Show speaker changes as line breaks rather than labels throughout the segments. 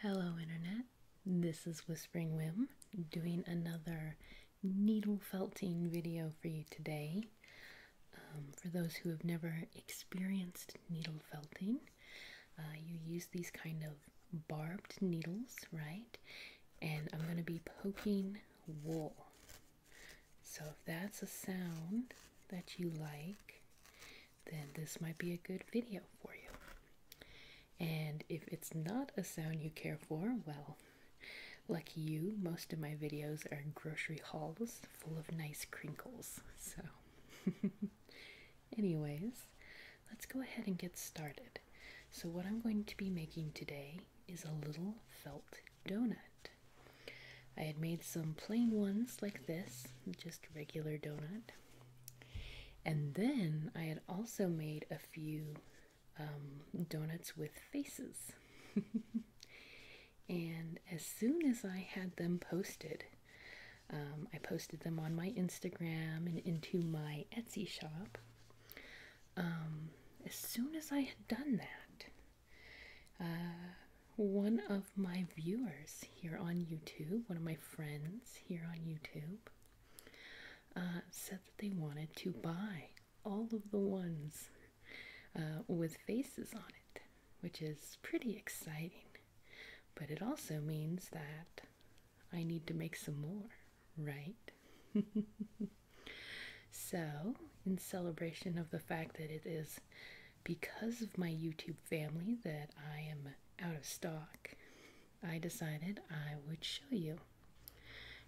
Hello, Internet. This is Whispering Wim doing another needle felting video for you today. Um, for those who have never experienced needle felting, uh, you use these kind of barbed needles, right? And I'm going to be poking wool. So if that's a sound that you like, then this might be a good video for you. And if it's not a sound you care for, well, like you, most of my videos are grocery hauls full of nice crinkles. So, anyways, let's go ahead and get started. So, what I'm going to be making today is a little felt donut. I had made some plain ones like this, just regular donut, and then I had also made a few um, donuts with faces. and as soon as I had them posted, um, I posted them on my Instagram and into my Etsy shop. Um, as soon as I had done that, uh, one of my viewers here on YouTube, one of my friends here on YouTube, uh, said that they wanted to buy all of the ones uh, with faces on it, which is pretty exciting. But it also means that I need to make some more, right? so, in celebration of the fact that it is because of my YouTube family that I am out of stock, I decided I would show you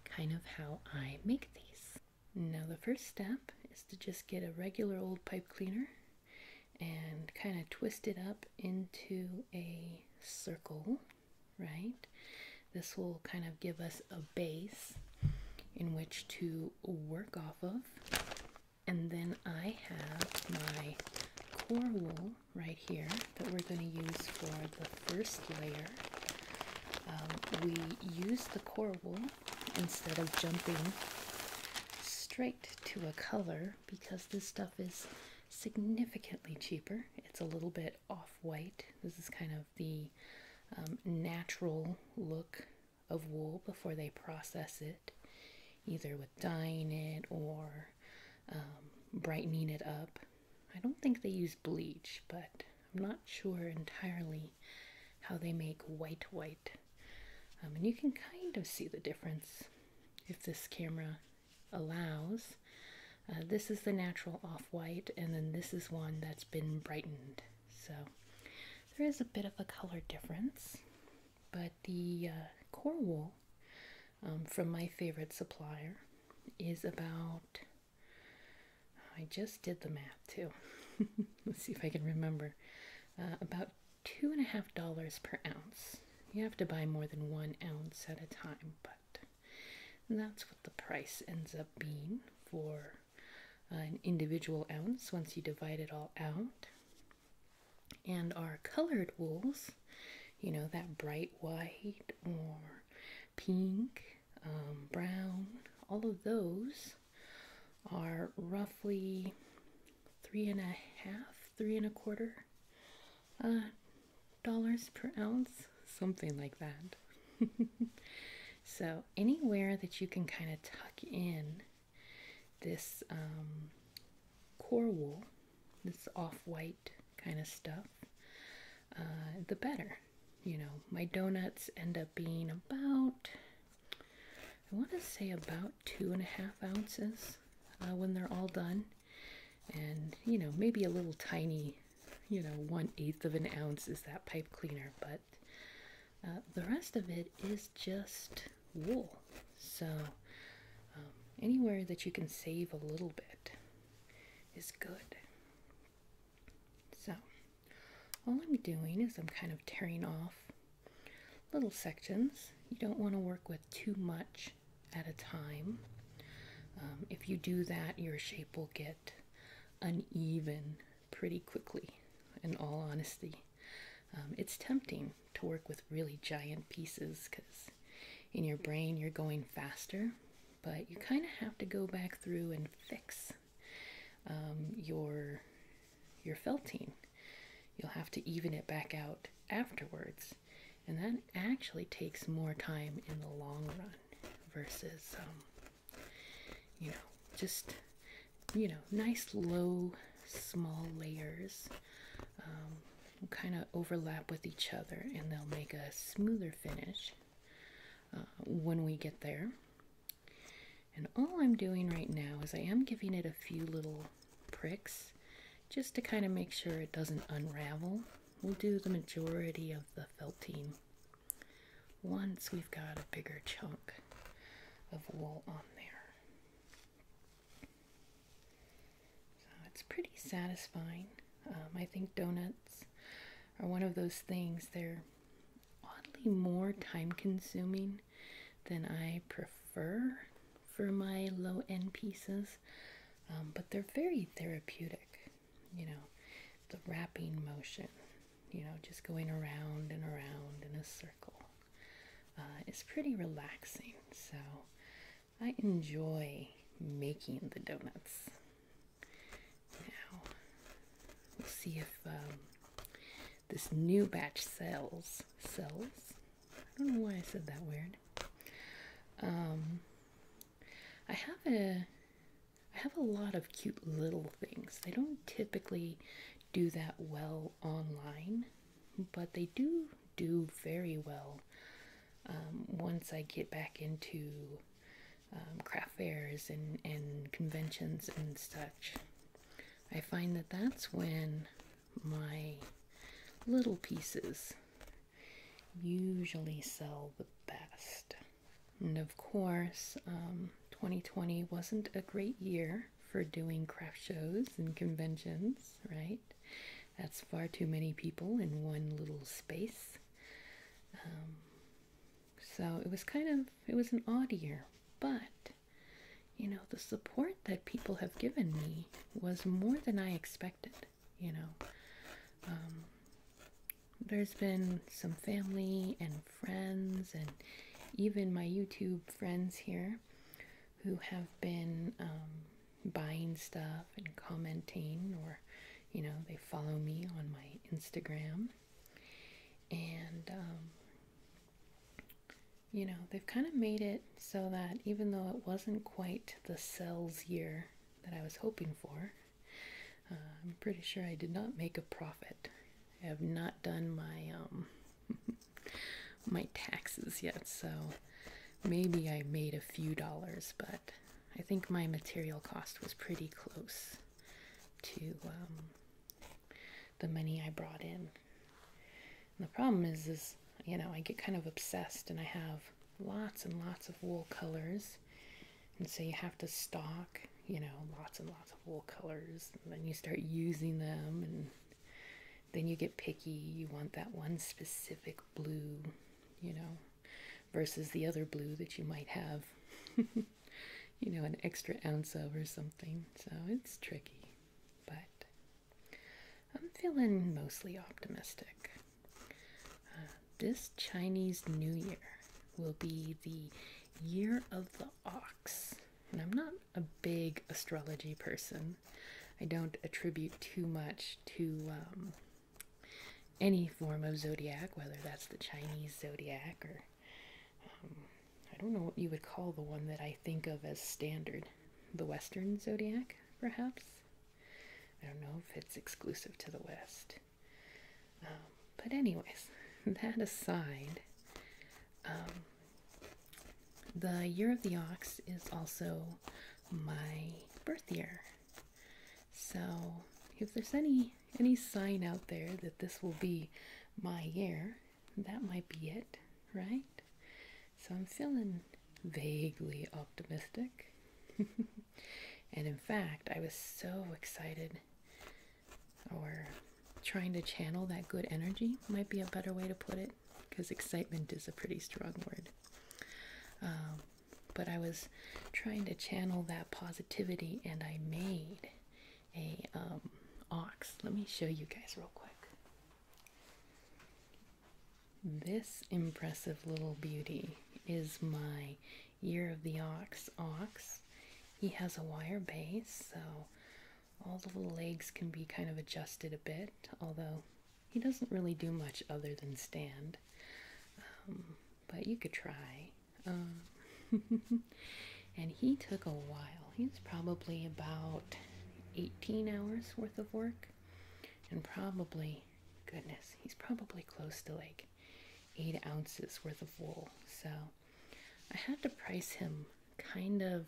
kind of how I make these. Now, the first step is to just get a regular old pipe cleaner and kind of twist it up into a circle, right? This will kind of give us a base in which to work off of and then I have my core wool right here that we're going to use for the first layer. Um, we use the core wool instead of jumping straight to a color because this stuff is significantly cheaper. It's a little bit off-white. This is kind of the um, natural look of wool before they process it either with dyeing it or um, brightening it up. I don't think they use bleach, but I'm not sure entirely how they make white white. Um, and you can kind of see the difference if this camera allows. Uh, this is the natural off-white, and then this is one that's been brightened. So there is a bit of a color difference, but the uh, core wool um, from my favorite supplier is about. I just did the math too. Let's see if I can remember. Uh, about two and a half dollars per ounce. You have to buy more than one ounce at a time, but that's what the price ends up being for uh, an individual ounce once you divide it all out. And our colored wools, you know, that bright white or pink, um, brown, all of those are roughly three and a half, three and a quarter uh, dollars per ounce, something like that. so, anywhere that you can kind of tuck in this um, core wool this off-white kind of stuff, uh, the better. You know, my donuts end up being about, I want to say about two and a half ounces uh, when they're all done. And, you know, maybe a little tiny, you know, one eighth of an ounce is that pipe cleaner, but uh, the rest of it is just wool. So, um, anywhere that you can save a little bit is good. So, all I'm doing is I'm kind of tearing off little sections. You don't want to work with too much at a time. Um, if you do that, your shape will get uneven pretty quickly, in all honesty. Um, it's tempting to work with really giant pieces because in your brain you're going faster, but you kind of have to go back through and fix um, your your felting. You'll have to even it back out afterwards, and that actually takes more time in the long run versus um, you know just you know nice low small layers kind of overlap with each other and they'll make a smoother finish uh, when we get there. And all I'm doing right now is I am giving it a few little pricks just to kind of make sure it doesn't unravel. We'll do the majority of the felting once we've got a bigger chunk of wool on there it's pretty satisfying. Um, I think donuts are one of those things, they're oddly more time consuming than I prefer for my low end pieces, um, but they're very therapeutic. You know, the wrapping motion, you know, just going around and around in a circle uh, is pretty relaxing. So I enjoy making the donuts. Now, we'll see if um, this new batch sells. Sells? I don't know why I said that weird. Um, I have a I have a lot of cute little things. They don't typically do that well online but they do do very well um, once I get back into um, craft fairs and, and conventions and such. I find that that's when my little pieces usually sell the best. And of course, 2020 um, wasn't a great year for doing craft shows and conventions, right? That's far too many people in one little space. Um, so it was kind of, it was an odd year, but you know, the support that people have given me was more than I expected, you know. Um, there's been some family and friends and even my YouTube friends here who have been um, buying stuff and commenting, or you know, they follow me on my Instagram, and um, you know, they've kind of made it so that even though it wasn't quite the sales year that I was hoping for, uh, I'm pretty sure I did not make a profit. I have not done my um, my taxes yet, so maybe I made a few dollars, but I think my material cost was pretty close to um, the money I brought in. the problem is, is you know, I get kind of obsessed, and I have lots and lots of wool colors, and so you have to stock, you know, lots and lots of wool colors, and then you start using them, and then you get picky. You want that one specific blue, you know, versus the other blue that you might have, you know, an extra ounce of or something. So it's tricky, but I'm feeling mostly optimistic. Uh, this Chinese New Year will be the year of the ox. And I'm not a big astrology person. I don't attribute too much to um, any form of zodiac, whether that's the Chinese zodiac or um, I don't know what you would call the one that I think of as standard, the Western zodiac, perhaps. I don't know if it's exclusive to the West. Um, but, anyways, that aside, the year of the ox is also my birth year. So if there's any any sign out there that this will be my year, that might be it, right? So I'm feeling vaguely optimistic. and in fact, I was so excited or trying to channel that good energy might be a better way to put it because excitement is a pretty strong word. Um, but I was trying to channel that positivity and I made a um, ox. Let me show you guys real quick. This impressive little beauty is my Year of the Ox ox. He has a wire base, so all the legs can be kind of adjusted a bit, although he doesn't really do much other than stand. Um, but you could try. Um, and he took a while. He's probably about 18 hours worth of work, and probably, goodness, he's probably close to like 8 ounces worth of wool. So I had to price him kind of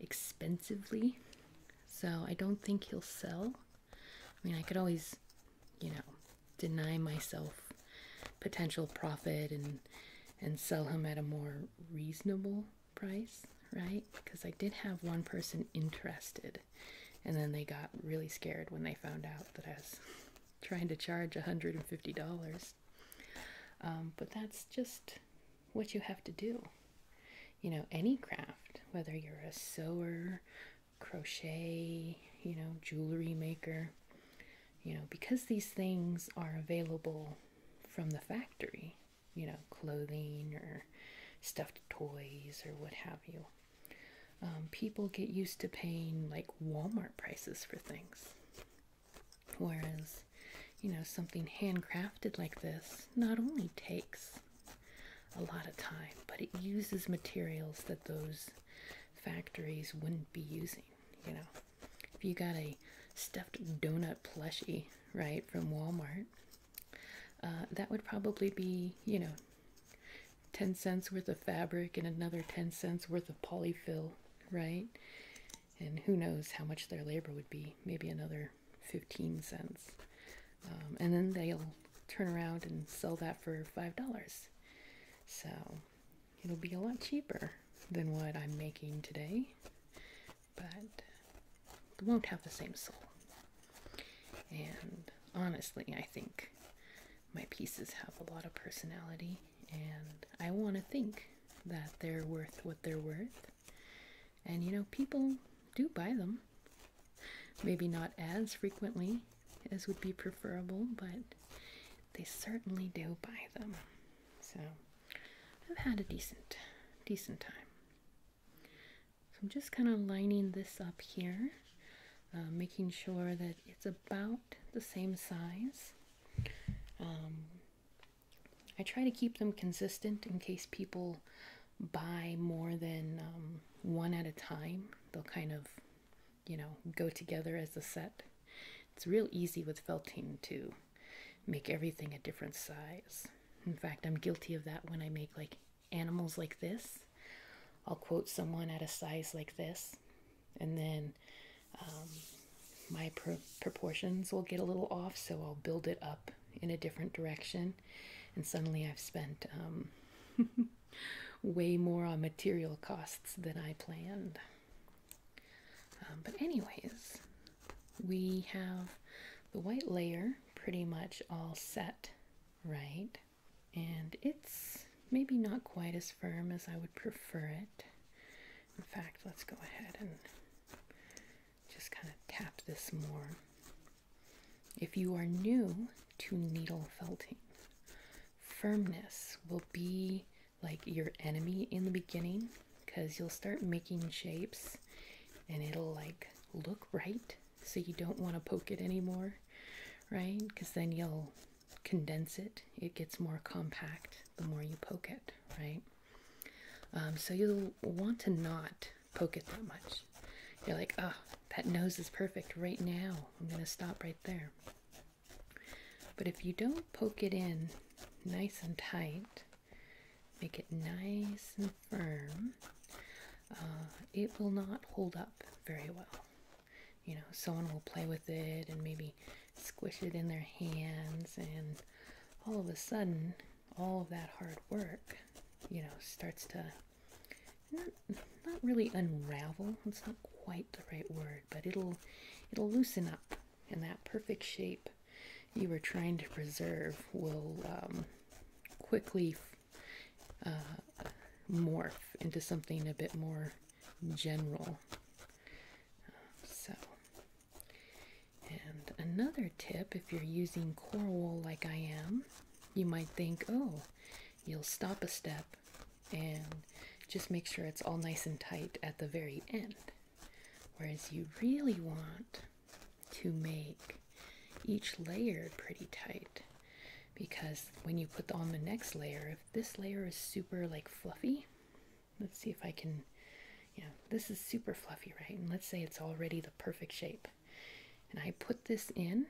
expensively, so I don't think he'll sell. I mean, I could always, you know, deny myself potential profit and and sell him at a more reasonable price, right? Because I did have one person interested, and then they got really scared when they found out that I was trying to charge a $150. Um, but that's just what you have to do. You know, any craft, whether you're a sewer, crochet, you know, jewelry maker, you know, because these things are available from the factory, you know, clothing or stuffed toys or what have you. Um, people get used to paying like Walmart prices for things. Whereas you know something handcrafted like this not only takes a lot of time, but it uses materials that those factories wouldn't be using. You know, if you got a stuffed donut plushie, right, from Walmart, uh, that would probably be, you know, 10 cents worth of fabric and another 10 cents worth of polyfill, right? And who knows how much their labor would be, maybe another 15 cents um, and then they'll turn around and sell that for five dollars so it'll be a lot cheaper than what i'm making today but it won't have the same soul and honestly i think my pieces have a lot of personality and i want to think that they're worth what they're worth and you know, people do buy them. Maybe not as frequently as would be preferable, but they certainly do buy them. So I've had a decent, decent time. So I'm just kind of lining this up here, uh, making sure that it's about the same size. Um, I try to keep them consistent in case people buy more than um, one at a time. They'll kind of, you know, go together as a set. It's real easy with felting to make everything a different size. In fact, I'm guilty of that when I make like animals like this. I'll quote someone at a size like this, and then um, my proportions will get a little off, so I'll build it up in a different direction, and suddenly I've spent um, way more on material costs than I planned. Um, but, anyways, we have the white layer pretty much all set, right? And it's maybe not quite as firm as I would prefer it. In fact, let's go ahead and just kind of tap this more. If you are new to needle felting, firmness will be like your enemy in the beginning because you'll start making shapes and it'll like look right so you don't want to poke it anymore right because then you'll condense it it gets more compact the more you poke it right um, so you'll want to not poke it that much. You're like, oh, that nose is perfect right now. I'm going to stop right there. But if you don't poke it in nice and tight, make it nice and firm, uh, it will not hold up very well. You know, someone will play with it and maybe squish it in their hands, and all of a sudden, all of that hard work, you know, starts to not, not really unravel. It's not quite the right word, but it'll it'll loosen up, and that perfect shape you were trying to preserve will um, quickly uh, morph into something a bit more general. so and another tip if you're using coral wool like I am, you might think, oh, you'll stop a step and just make sure it's all nice and tight at the very end. Whereas you really want to make each layer pretty tight because when you put on the next layer, if this layer is super like fluffy, let's see if I can you this is super fluffy, right? And let's say it's already the perfect shape. And I put this in.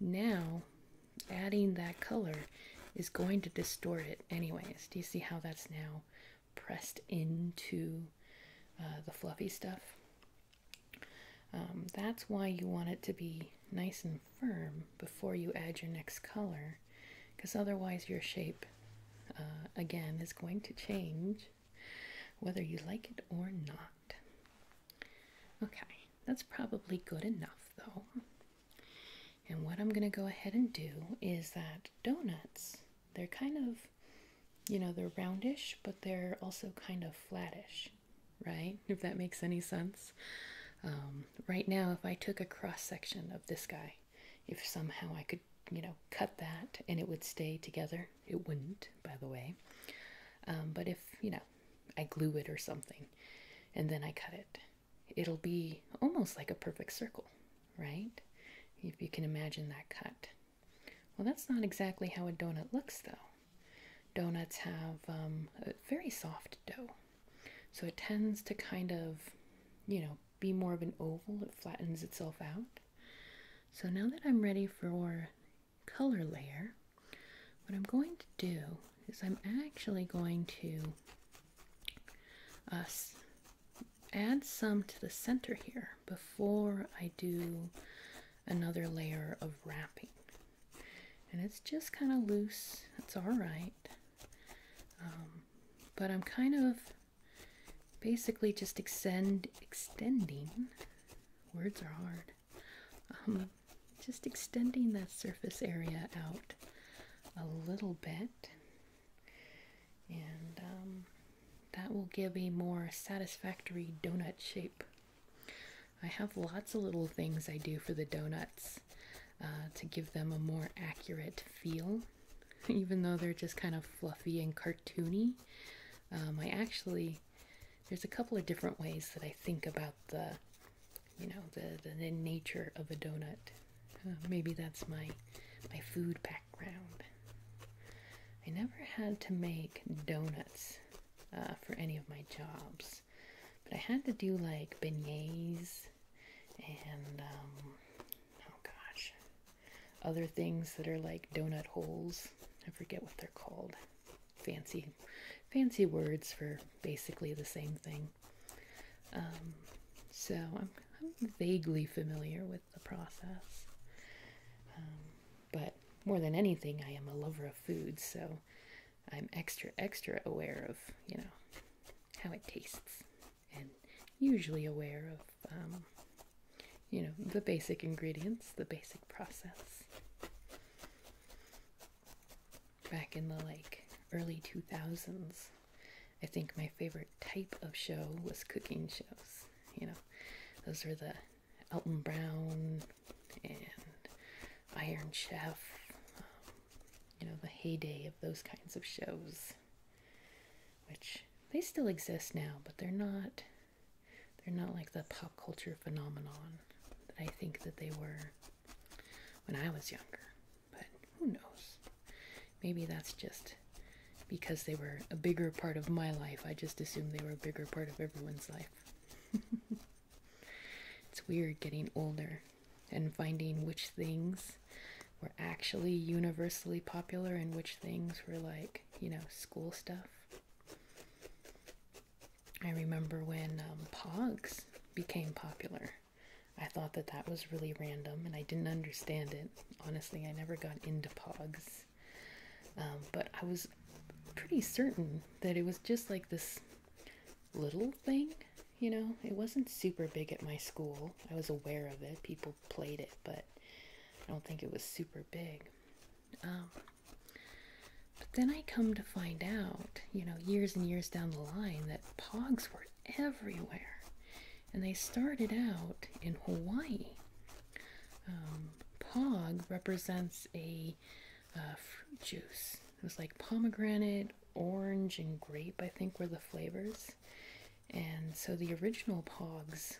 Now, adding that color is going to distort it anyways. Do you see how that's now pressed into uh, the fluffy stuff? Um, that's why you want it to be nice and firm before you add your next color because otherwise your shape uh, again is going to change whether you like it or not. Okay, that's probably good enough though. And what I'm going to go ahead and do is that donuts, they're kind of, you know, they're roundish, but they're also kind of flattish, right? If that makes any sense. Um, right now, if I took a cross section of this guy, if somehow I could, you know, cut that and it would stay together, it wouldn't, by the way. Um, but if, you know, I glue it or something and then I cut it, it'll be almost like a perfect circle, right? If you can imagine that cut. Well, that's not exactly how a donut looks, though. Donuts have um, a very soft dough. So it tends to kind of, you know, be more of an oval. It flattens itself out. So now that I'm ready for color layer, what I'm going to do is I'm actually going to uh, add some to the center here before I do another layer of wrapping. And it's just kind of loose, it's all right. Um, but I'm kind of basically just extend extending words are hard um, just extending that surface area out a little bit and um, that will give a more satisfactory donut shape I have lots of little things I do for the donuts uh, to give them a more accurate feel even though they're just kind of fluffy and cartoony um, I actually, there's a couple of different ways that I think about the, you know, the, the, nature of a donut. Uh, maybe that's my, my food background. I never had to make donuts uh, for any of my jobs, but I had to do like beignets and, um, oh gosh, other things that are like donut holes. I forget what they're called. Fancy, fancy words for basically the same thing. Um, so I'm, vaguely familiar with the process. Um, but more than anything, I am a lover of food, so I'm extra, extra aware of, you know, how it tastes and usually aware of um, you know, the basic ingredients, the basic process. Back in the like early 2000s, I think my favorite type of show was cooking shows. You know, those were the Elton Brown and Iron Chef, um, you know, the heyday of those kinds of shows, which they still exist now, but they're not they're not like the pop culture phenomenon that I think that they were when I was younger. But who knows? Maybe that's just because they were a bigger part of my life. I just assumed they were a bigger part of everyone's life. it's weird getting older and finding which things were actually universally popular and which things were like you know, school stuff. I remember when um, Pogs became popular. I thought that that was really random and I didn't understand it. Honestly, I never got into Pogs. Um, but I was pretty certain that it was just like this little thing, you know? It wasn't super big at my school. I was aware of it. People played it, but I don't think it was super big. Um, but then I come to find out, you know, years and years down the line, that pogs were everywhere. And they started out in Hawaii. Um, pog represents a uh, fruit juice. It was like pomegranate, orange, and grape, I think, were the flavors. And so the original pogs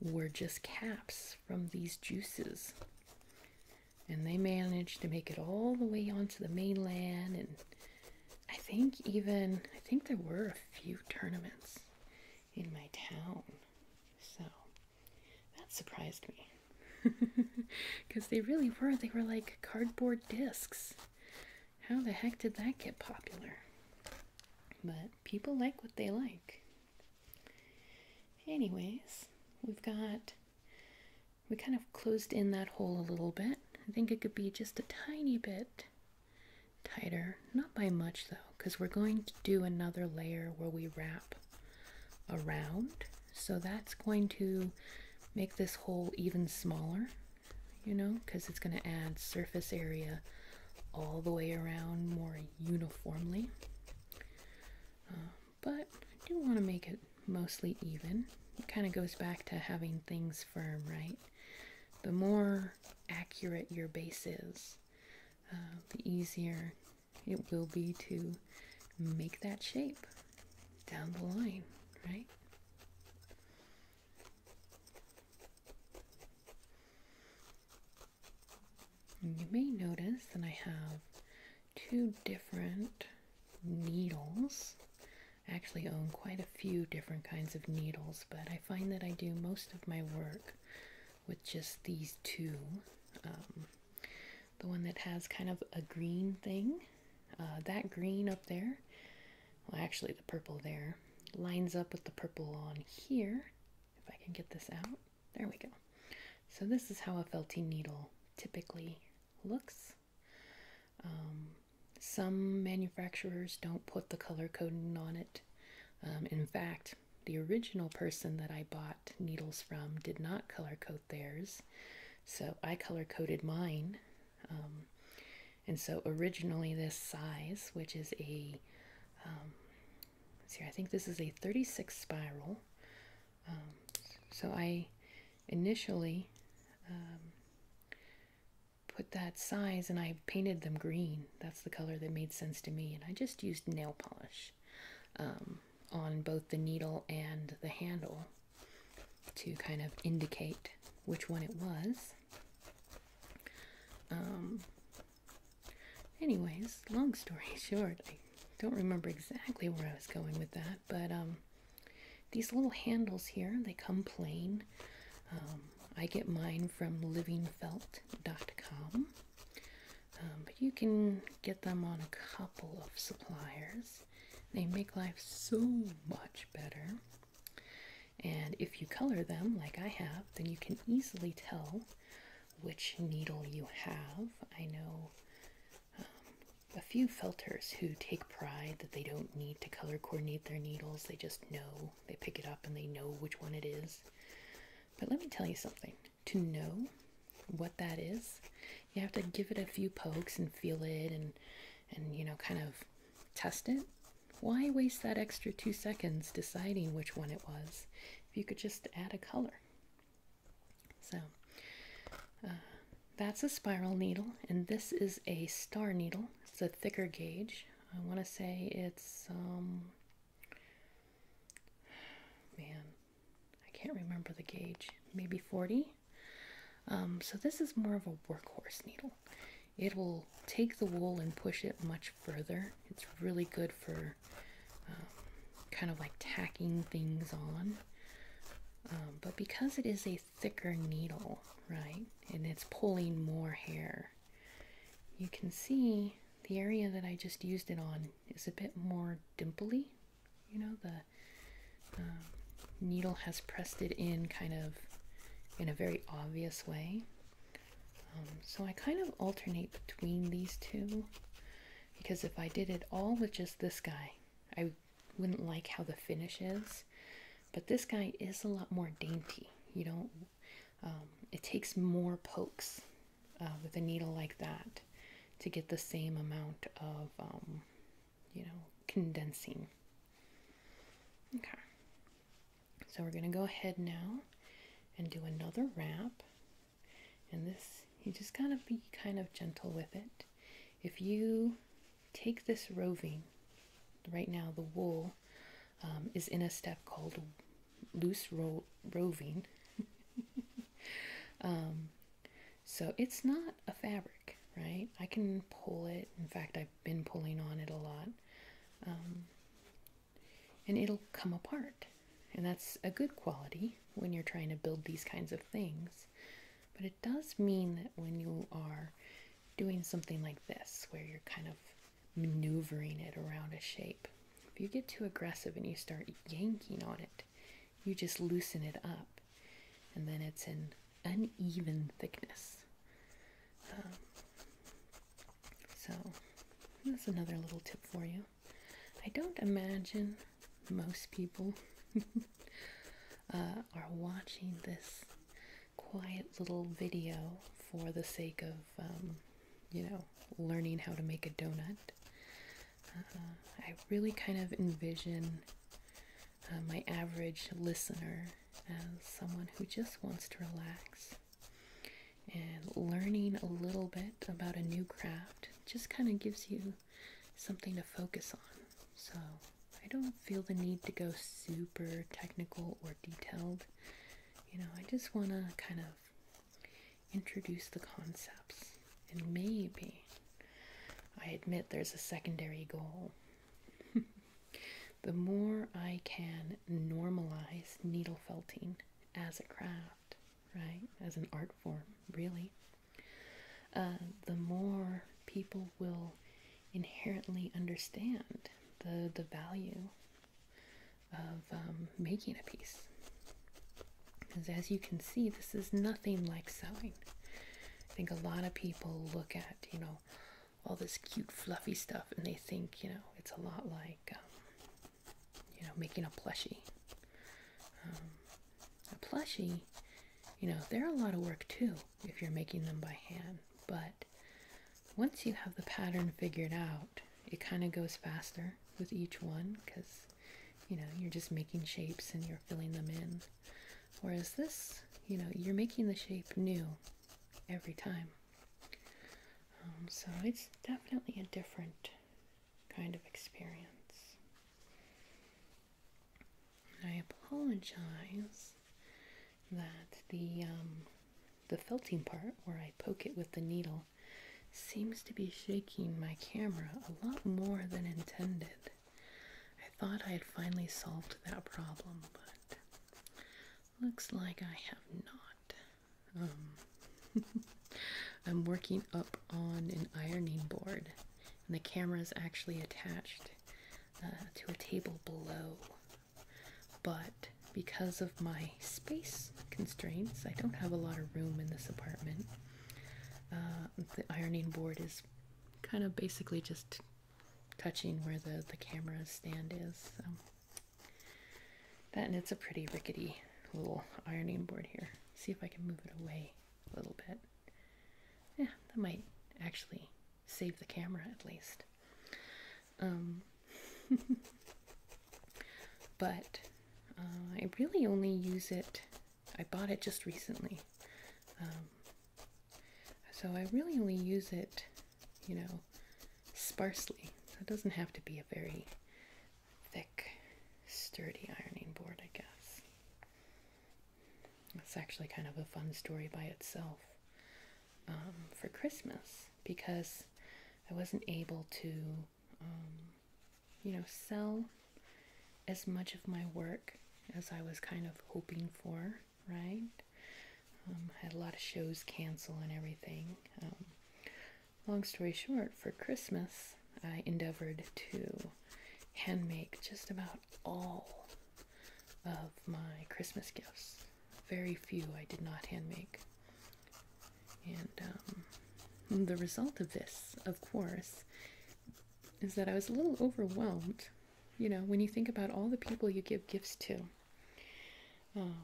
were just caps from these juices. And they managed to make it all the way onto the mainland. And I think even, I think there were a few tournaments in my town. So that surprised me. Because they really were. They were like cardboard discs. How the heck did that get popular? But people like what they like. Anyways, we've got, we kind of closed in that hole a little bit. I think it could be just a tiny bit tighter, not by much though, because we're going to do another layer where we wrap around. So that's going to make this hole even smaller, you know, because it's going to add surface area all the way around more uniformly. Uh, but I do want to make it mostly even. It kind of goes back to having things firm, right? The more accurate your base is, uh, the easier it will be to make that shape down the line, right? you may notice that I have two different needles. I actually own quite a few different kinds of needles, but I find that I do most of my work with just these two. Um, the one that has kind of a green thing, uh, that green up there, well, actually the purple there, lines up with the purple on here, if I can get this out, there we go. So this is how a felty needle typically looks. Um, some manufacturers don't put the color coding on it. Um, in fact, the original person that I bought needles from did not color code theirs, so I color coded mine. Um, and so originally this size, which is a um, see, I think this is a 36 spiral. Um, so I initially um, put that size and I painted them green. That's the color that made sense to me. And I just used nail polish um, on both the needle and the handle to kind of indicate which one it was. Um, anyways, long story short, I don't remember exactly where I was going with that, but um, these little handles here, they come plain. Um, I get mine from livingfelt.com, um, but you can get them on a couple of suppliers. They make life so much better. And if you color them like I have, then you can easily tell which needle you have. I know um, a few felters who take pride that they don't need to color coordinate their needles, they just know. They pick it up and they know which one it is. But let me tell you something to know what that is, you have to give it a few pokes and feel it and and you know kind of test it why waste that extra two seconds deciding which one it was if you could just add a color? So uh, that's a spiral needle, and this is a star needle. It's a thicker gauge. I want to say it's, um, man, I can't remember the gauge, maybe 40. Um, so this is more of a workhorse needle it will take the wool and push it much further. It's really good for um, kind of like tacking things on. Um, but because it is a thicker needle, right, and it's pulling more hair, you can see the area that I just used it on is a bit more dimply. You know, the um, needle has pressed it in kind of in a very obvious way. Um, so I kind of alternate between these two because if I did it all with just this guy, I wouldn't like how the finish is. But this guy is a lot more dainty. You don't, um, it takes more pokes uh, with a needle like that to get the same amount of, um, you know, condensing. Okay. So we're going to go ahead now and do another wrap. And this, you just got to be kind of gentle with it. If you take this roving, right now the wool um, is in a step called loose ro roving. Um, so it's not a fabric, right? I can pull it. In fact, I've been pulling on it a lot. Um, and it'll come apart. And that's a good quality when you're trying to build these kinds of things. But it does mean that when you are doing something like this, where you're kind of maneuvering it around a shape, if you get too aggressive and you start yanking on it, you just loosen it up, and then it's an uneven thickness. Um, so that's another little tip for you. I don't imagine most people uh, are watching this quiet little video for the sake of, um, you know, learning how to make a donut. Uh, I really kind of envision uh, my average listener as someone who just wants to relax and learning a little bit about a new craft just kind of gives you something to focus on. So I don't feel the need to go super technical or detailed. You know, I just want to kind of introduce the concepts and maybe I admit there's a secondary goal. the more I can normalize needle felting as a craft, right? As an art form, really. Uh, the more people will inherently understand the, the value of um, making a piece. Because as you can see, this is nothing like sewing. I think a lot of people look at, you know, all this cute fluffy stuff and they think you know it's a lot like um, you know making a plushie um, a plushie you know they're a lot of work too if you're making them by hand but once you have the pattern figured out it kind of goes faster with each one because you know you're just making shapes and you're filling them in whereas this you know you're making the shape new every time. Um, so it's definitely a different kind of experience. I apologize that the um, the felting part where I poke it with the needle seems to be shaking my camera a lot more than intended. I thought I had finally solved that problem, but looks like I have not. Um, I'm working up on an ironing board, and the camera is actually attached uh, to a table below. But because of my space constraints, I don't have a lot of room in this apartment. Uh, the ironing board is kind of basically just touching where the, the camera stand is. That and it's a pretty rickety little ironing board here. See if I can move it away a little bit. Yeah, that might actually save the camera at least. Um, but uh, I really only use it, I bought it just recently. Um, so I really only use it you know, sparsely. So it doesn't have to be a very thick, sturdy ironing board, I guess. That's actually kind of a fun story by itself um, for Christmas because I wasn't able to, um, you know, sell as much of my work as I was kind of hoping for, right? I um, had a lot of shows cancel and everything. Um, long story short, for Christmas, I endeavored to handmake just about all of my Christmas gifts. Very few I did not handmake, And um, the result of this, of course, is that I was a little overwhelmed. You know, when you think about all the people you give gifts to, um,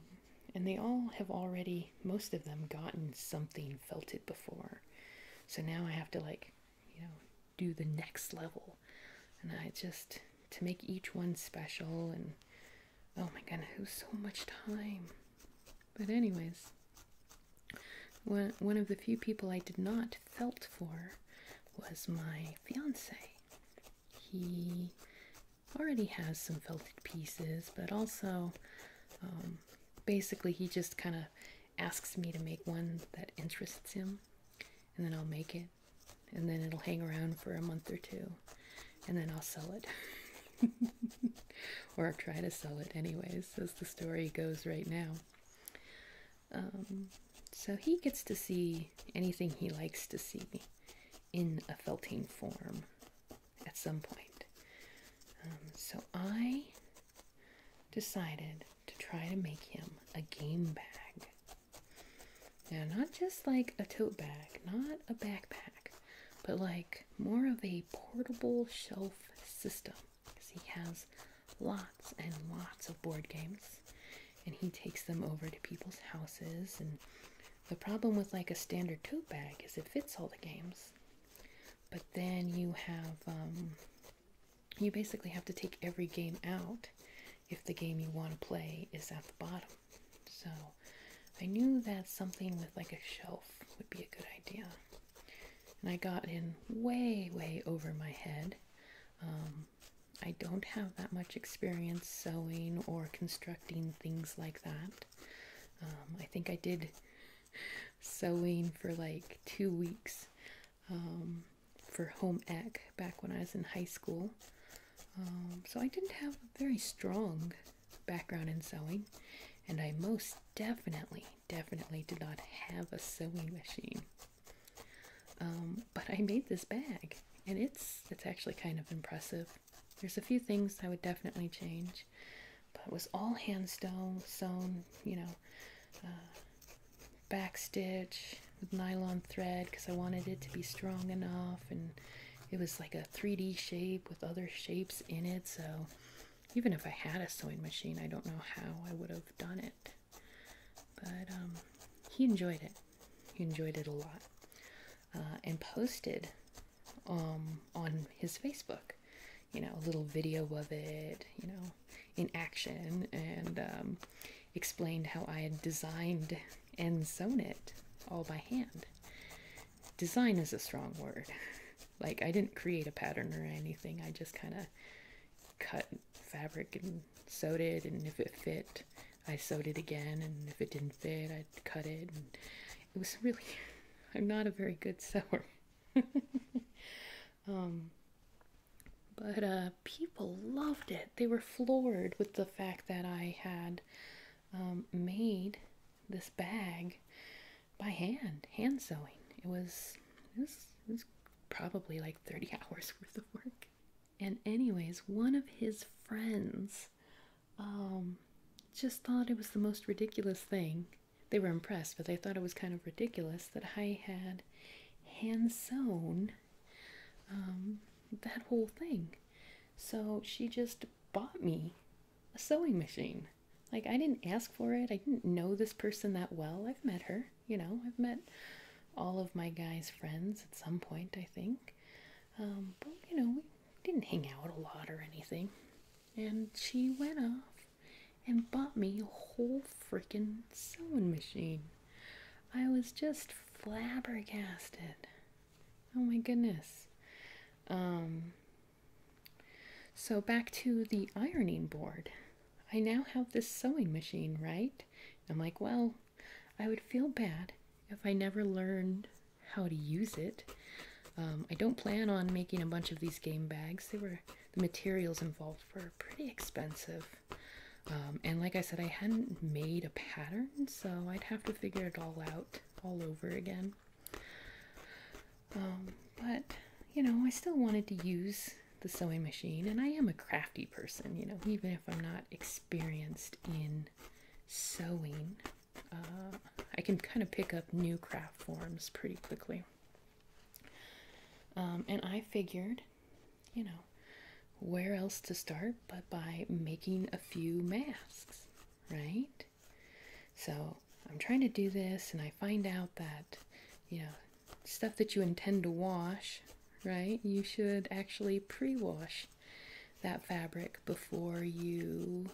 and they all have already, most of them, gotten something, felt it before. So now I have to, like, you know, do the next level. And I just, to make each one special, and oh my god, it was so much time. But, anyways, one, one of the few people I did not felt for was my fiance. He already has some felted pieces, but also um, basically he just kind of asks me to make one that interests him, and then I'll make it, and then it'll hang around for a month or two, and then I'll sell it. or try to sell it, anyways, as the story goes right now. Um, so he gets to see anything he likes to see in a felting form at some point. Um, so I decided to try to make him a game bag. Now, not just like a tote bag, not a backpack, but like more of a portable shelf system. Because he has lots and lots of board games, and he takes them over to people's houses and the problem with like a standard tote bag is it fits all the games. But then you have, um, you basically have to take every game out if the game you want to play is at the bottom. So I knew that something with like a shelf would be a good idea. And I got in way, way over my head. Um, I don't have that much experience sewing or constructing things like that. Um, I think I did sewing for like two weeks um, for home ec back when I was in high school. Um, so I didn't have a very strong background in sewing, and I most definitely, definitely did not have a sewing machine. but I made this bag, and it's it's actually kind of impressive. There's a few things I would definitely change, but it was all hand sewn, sewn, you know, uh, back stitch with nylon thread because I wanted it to be strong enough, and it was like a 3D shape with other shapes in it. So even if I had a sewing machine, I don't know how I would have done it. But um, he enjoyed it. He enjoyed it a lot. Uh, and posted um, on his Facebook, you know, a little video of it, you know, in action, and um, explained how I had designed and sewn it all by hand. Design is a strong word. Like, I didn't create a pattern or anything, I just kind of cut fabric and sewed it, and if it fit, I sewed it again, and if it didn't fit, I'd cut it. And it was really, I'm not a very good sewer. Um, but uh, people loved it. They were floored with the fact that I had um, made this bag by hand, hand sewing. it was, it was probably like 30 hours worth of work. And, anyways, one of his friends um, just thought it was the most ridiculous thing. They were impressed, but they thought it was kind of ridiculous that I had hand sewn um, that whole thing. So she just bought me a sewing machine. Like, I didn't ask for it. I didn't know this person that well. I've met her, you know, I've met all of my guys' friends at some point, I think. Um, but, you know, didn't hang out a lot or anything. And she went off and bought me a whole freaking sewing machine. I was just flabbergasted. Oh my goodness. Um, so back to the ironing board. I now have this sewing machine, right? I'm like, well, I would feel bad if I never learned how to use it. Um, I don't plan on making a bunch of these game bags. They were the materials involved were pretty expensive. Um, and like I said, I hadn't made a pattern, so I'd have to figure it all out all over again. Um, but, you know, I still wanted to use the sewing machine, and I am a crafty person, you know, even if I'm not experienced in sewing, uh, I can kind of pick up new craft forms pretty quickly. Um, and I figured, you know, where else to start but by making a few masks, right? So I'm trying to do this, and I find out that, you know, stuff that you intend to wash, right, you should actually pre wash that fabric before you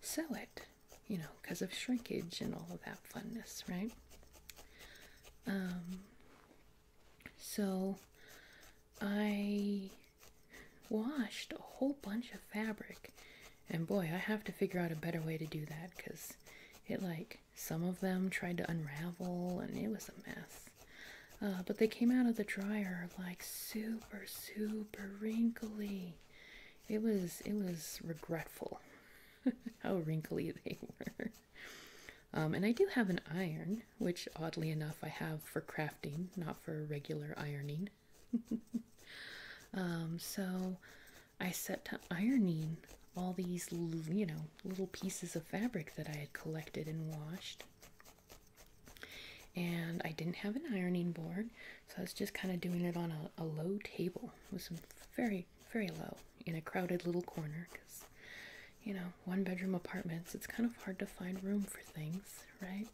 sew it, you know, because of shrinkage and all of that funness, right? Um, so I washed a whole bunch of fabric, and boy, I have to figure out a better way to do that because it like some of them tried to unravel and it was a mess. Uh, but they came out of the dryer like super, super wrinkly. It was it was regretful how wrinkly they were. Um, and I do have an iron, which oddly enough I have for crafting, not for regular ironing. Um, so I set to ironing all these, you know, little pieces of fabric that I had collected and washed. And I didn't have an ironing board, so I was just kind of doing it on a, low table. It was very, very low in a crowded little corner because, you know, one bedroom apartments, it's kind of hard to find room for things, right?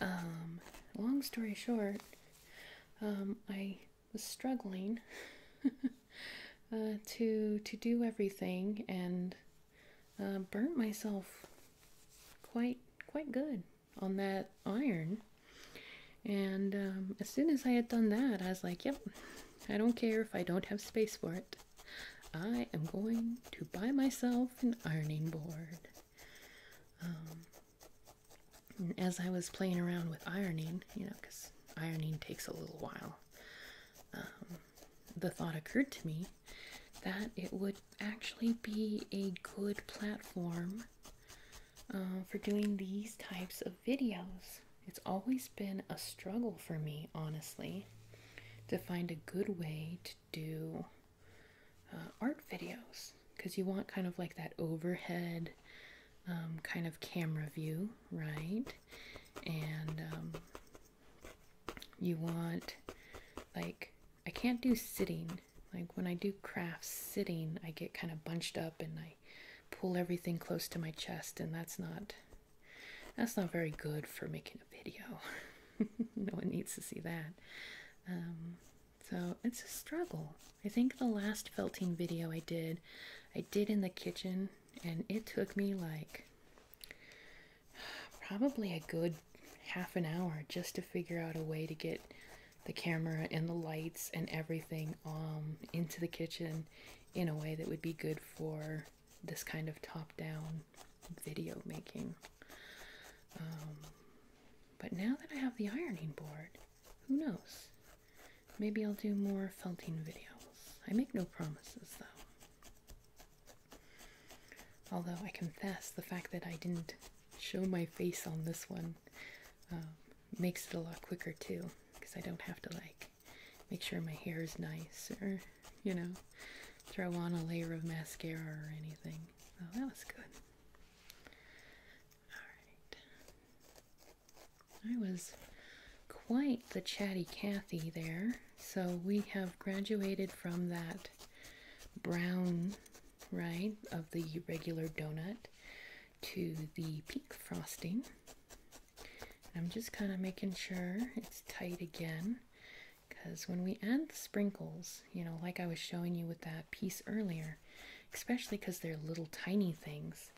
Um, long story short, um, I was struggling uh, to to do everything and uh, burnt myself quite quite good on that iron. And um, as soon as I had done that, I was like, yep, I don't care if I don't have space for it. I am going to buy myself an ironing board. Um, as I was playing around with ironing, you know, because ironing takes a little while, um, the thought occurred to me that it would actually be a good platform uh, for doing these types of videos. It's always been a struggle for me, honestly, to find a good way to do uh, art videos because you want kind of like that overhead um, kind of camera view, right? And um, you want, like, I can't do sitting. Like, when I do crafts sitting, I get kind of bunched up and I pull everything close to my chest, and that's not. That's not very good for making a video. no one needs to see that. Um, so it's a struggle. I think the last felting video I did, I did in the kitchen, and it took me like probably a good half an hour just to figure out a way to get the camera and the lights and everything um, into the kitchen in a way that would be good for this kind of top-down video making. Um, but now that I have the ironing board, who knows? Maybe I'll do more felting videos. I make no promises though. Although I confess the fact that I didn't show my face on this one um, makes it a lot quicker too, because I don't have to like make sure my hair is nice or, you know, throw on a layer of mascara or anything. So that was good. Alright. I was quite the chatty Cathy there. So we have graduated from that brown, right, of the regular donut to the pink frosting. I'm just kind of making sure it's tight again because when we add the sprinkles, you know, like I was showing you with that piece earlier, especially because they're little tiny things,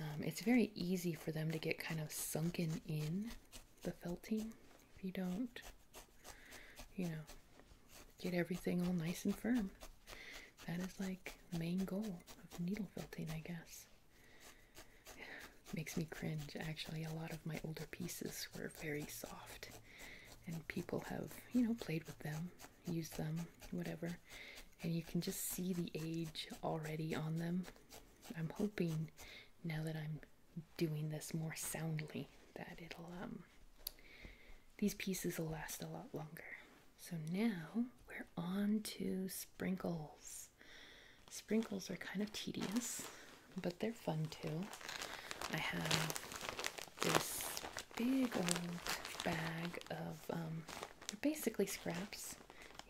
um, it's very easy for them to get kind of sunken in the felting if you don't, you know, get everything all nice and firm. That is like the main goal of needle felting, I guess. Makes me cringe. Actually, a lot of my older pieces were very soft, and people have, you know, played with them, used them, whatever, and you can just see the age already on them. I'm hoping now that I'm doing this more soundly that it'll um these pieces will last a lot longer so now we're on to sprinkles sprinkles are kind of tedious but they're fun too i have this big old bag of um, basically scraps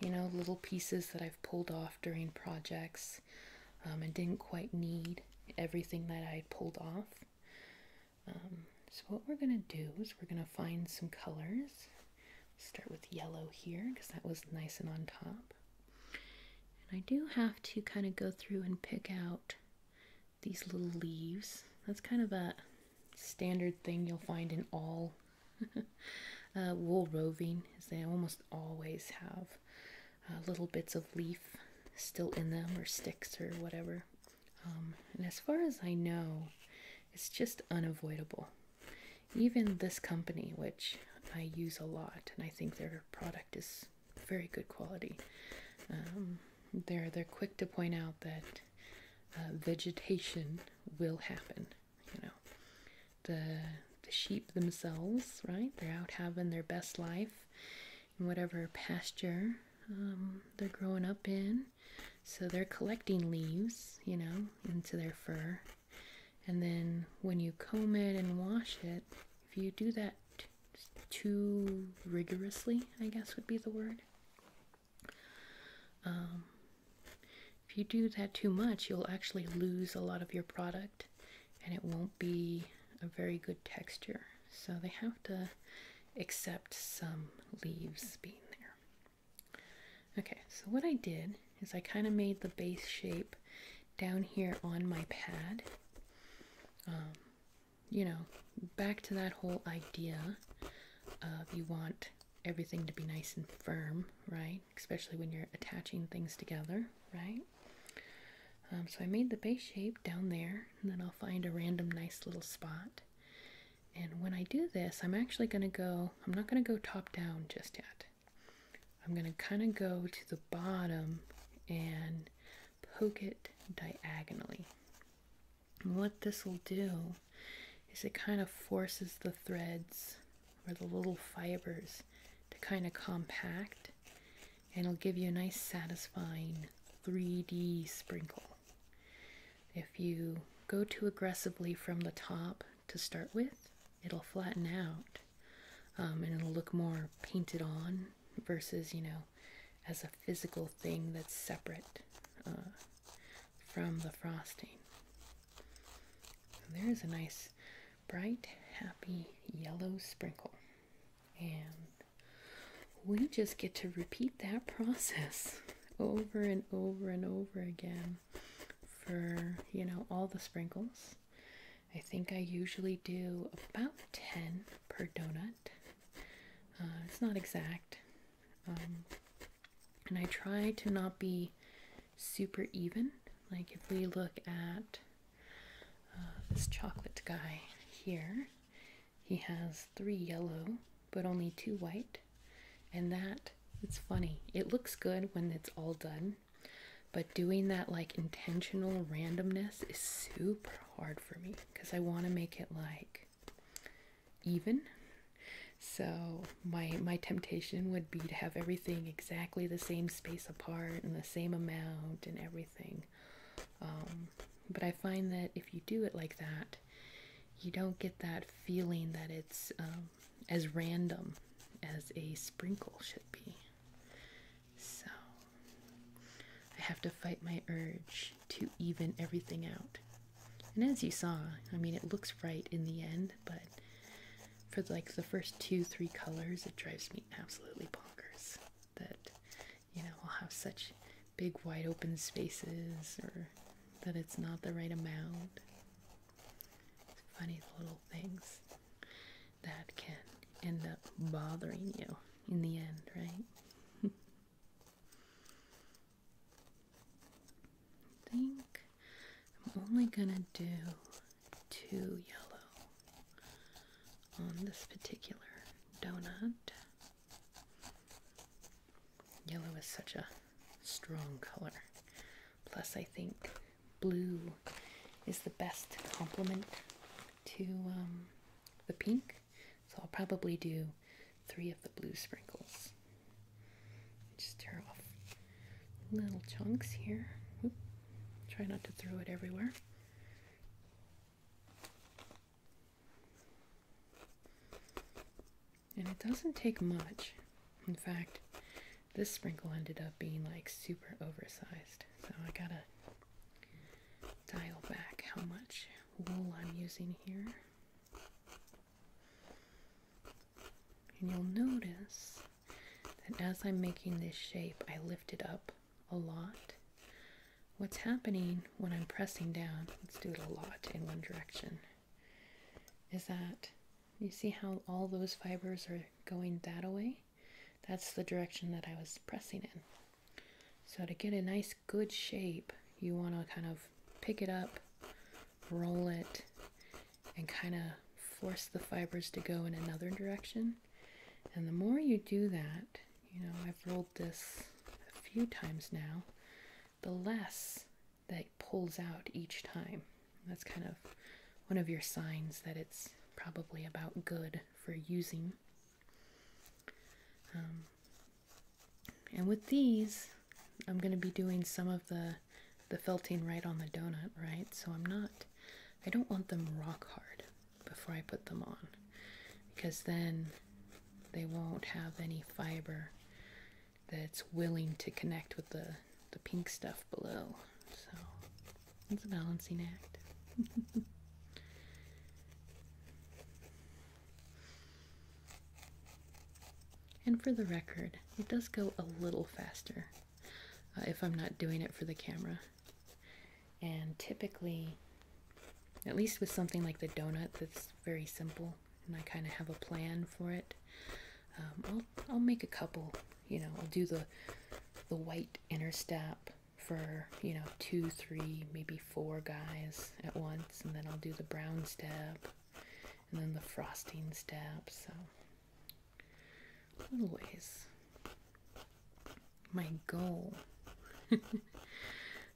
you know little pieces that i've pulled off during projects I um, didn't quite need everything that I pulled off. Um, so, what we're going to do is we're going to find some colors. Start with yellow here because that was nice and on top. And I do have to kind of go through and pick out these little leaves. That's kind of a standard thing you'll find in all uh, wool roving is they almost always have uh, little bits of leaf still in them or sticks or whatever. Um, and as far as I know, it's just unavoidable. Even this company, which I use a lot, and I think their product is very good quality. Um, they're they're quick to point out that uh, vegetation will happen. You know, the the sheep themselves, right? They're out having their best life in whatever pasture um, they're growing up in. So they're collecting leaves, you know, into their fur. And then when you comb it and wash it, if you do that too rigorously, I guess would be the word. Um, if you do that too much, you'll actually lose a lot of your product and it won't be a very good texture. So they have to accept some leaves being there. Okay, so what I did is I kind of made the base shape down here on my pad. Um, you know, back to that whole idea of you want everything to be nice and firm, right? Especially when you're attaching things together, right? Um, so I made the base shape down there, and then I'll find a random nice little spot. And when I do this, I'm actually going to go, I'm not going to go top down just yet. I'm going to kind of go to the bottom and poke it diagonally. what this will do is it kind of forces the threads or the little fibers to kind of compact and it'll give you a nice satisfying 3D sprinkle. If you go too aggressively from the top to start with, it'll flatten out um, and it'll look more painted on versus, you know, as a physical thing that's separate uh, from the frosting. there's a nice bright, happy yellow sprinkle. And we just get to repeat that process over and over and over again for, you know, all the sprinkles. I think I usually do about 10 per donut. Uh, it's not exact. Um, and I try to not be super even. Like if we look at uh, this chocolate guy here, he has three yellow but only two white. And that, it's funny. It looks good when it's all done, but doing that like intentional randomness is super hard for me because I want to make it like even. So my my temptation would be to have everything exactly the same space apart and same amount and everything. Um, but I find that if you do it like that, you don't get that feeling that it's um, as random as a sprinkle should be. So I have to fight my urge to even everything out. And as you saw, I mean, it looks right in the end, but for like the first two, three colors, it drives me absolutely bonkers that you know I'll have such big, wide open spaces or that it's not the right amount. funny little things that can end up bothering you in the end, right? think I'm only gonna do to yellow on this particular donut. Yellow is such a strong color. Plus, I think blue is the best complement to um, the pink. So I'll probably do three of the blue sprinkles. Just stir off little chunks here. Try not to throw it everywhere. And it doesn't take much. In fact, this sprinkle ended up being like super oversized. So I gotta dial back how much wool I'm using here. And you'll notice that as I'm making this shape, I lift it up a lot. What's happening when I'm pressing down, let's do it a lot in one direction, is that you see how all those fibers are going that way? That's the direction that I was pressing in. So to get a nice good shape, you want to kind of pick it up, roll it, and kind of force the fibers to go in another direction. And the more you do that, you know, I've rolled this a few times now, the less that pulls out each time. That's kind of one of your signs that it's probably about good for using. Um, and with these, I'm going to be doing some of the, the felting right on the donut, right? So I'm not I don't want them rock hard before I put them on because then they won't have any fiber that's willing to connect with the, the pink stuff below. So it's a balancing act. and for the record, it does go a little faster uh, if I'm not doing it for the camera. And typically, at least with something like the donuts, that's very simple and I kind of have a plan for it, um, I'll, I'll make a couple, you know, I'll do the, the white inner step for, you know, two, three, maybe four guys at once, and then I'll do the brown step and then the frosting step, so little My goal,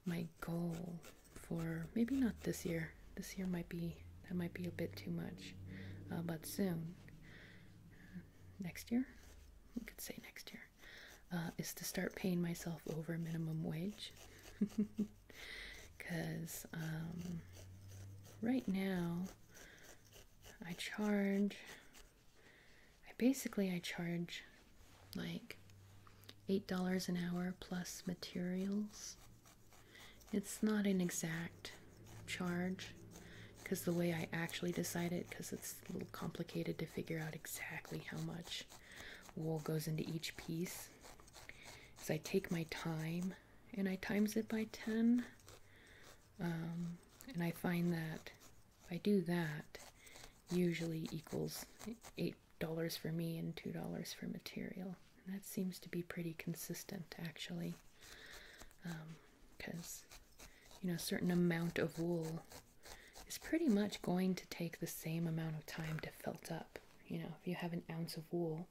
my goal for maybe not this year. This year might be that might be a bit too much, uh, but soon, next year, we could say next year, uh, is to start paying myself over minimum wage. Because um, right now, I charge I basically I charge like eight dollars an hour plus materials. It's not an exact charge because the way I actually decide it because it's a little complicated to figure out exactly how much wool goes into each piece is I take my time and I times it by 10 um, and I find that if I do that, usually equals $8 for me and $2 for material. that seems to be pretty consistent actually. Because, um, you know, a certain amount of wool is pretty much going to take the same amount of time to felt up. You know, if you have an ounce of wool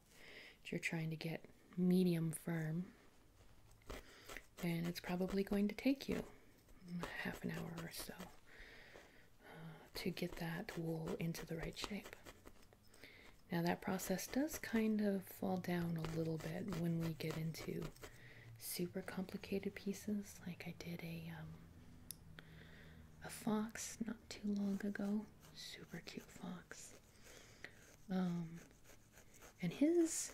you're trying to get medium firm, and it's probably going to take you half an hour or so uh, to get that wool into the right shape. Now, that process does kind of fall down a little bit when we get into super complicated pieces. Like I did a um, a fox not too long ago, super cute fox. Um, and his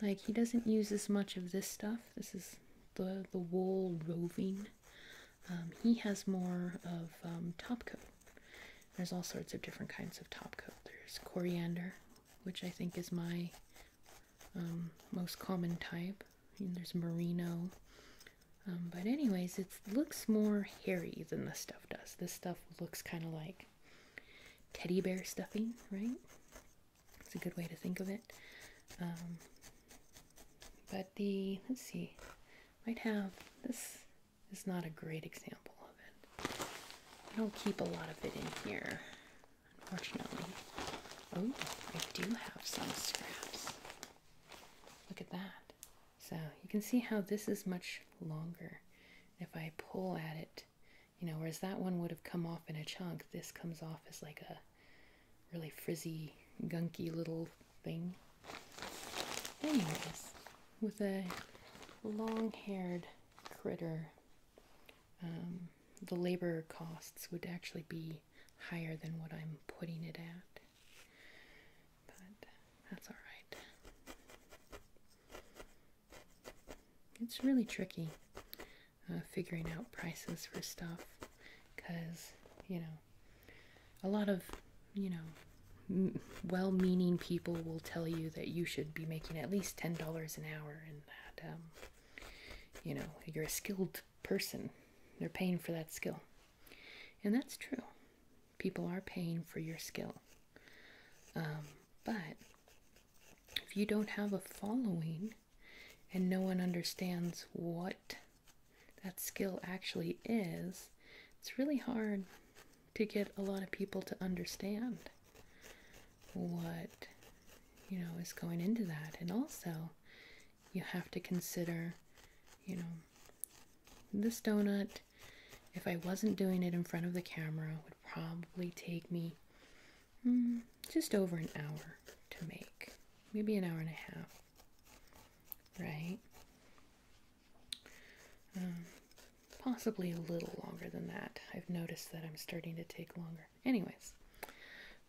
like he doesn't use as much of this stuff. This is the the wool roving. Um, he has more of um, top coat. There's all sorts of different kinds of top coat. There's coriander, which I think is my um, most common type. there's merino. but anyways, it looks more hairy than this stuff does. This stuff looks kind of like teddy bear stuffing, right? It's a good way to think of it. Um, but the, let's see, might have, this is not a great example of it. I don't keep a lot of it in here, unfortunately. Oh, I do have some scraps. Look at that. So you can see how this is much longer. If I pull at it, you know, whereas that one would have come off in a chunk, this comes off as like a really frizzy, gunky little thing. Anyways, with a long haired critter, um, the labor costs would actually be higher than what I'm putting it at. But uh, that's alright. It's really tricky uh, figuring out prices for stuff because, you know, a lot of, you know, well meaning people will tell you that you should be making at least $10 an hour and that, um, you know, you're a skilled person. They're paying for that skill. And that's true. People are paying for your skill. Um, but if you don't have a following and no one understands what that skill actually is, it's really hard to get a lot of people to understand what you know is going into that and also you have to consider you know this donut if I wasn't doing it in front of the camera, would probably take me hmm, just over an hour to make, maybe an hour and a half, right? Um, possibly a little longer than that. I've noticed that I'm starting to take longer. Anyways,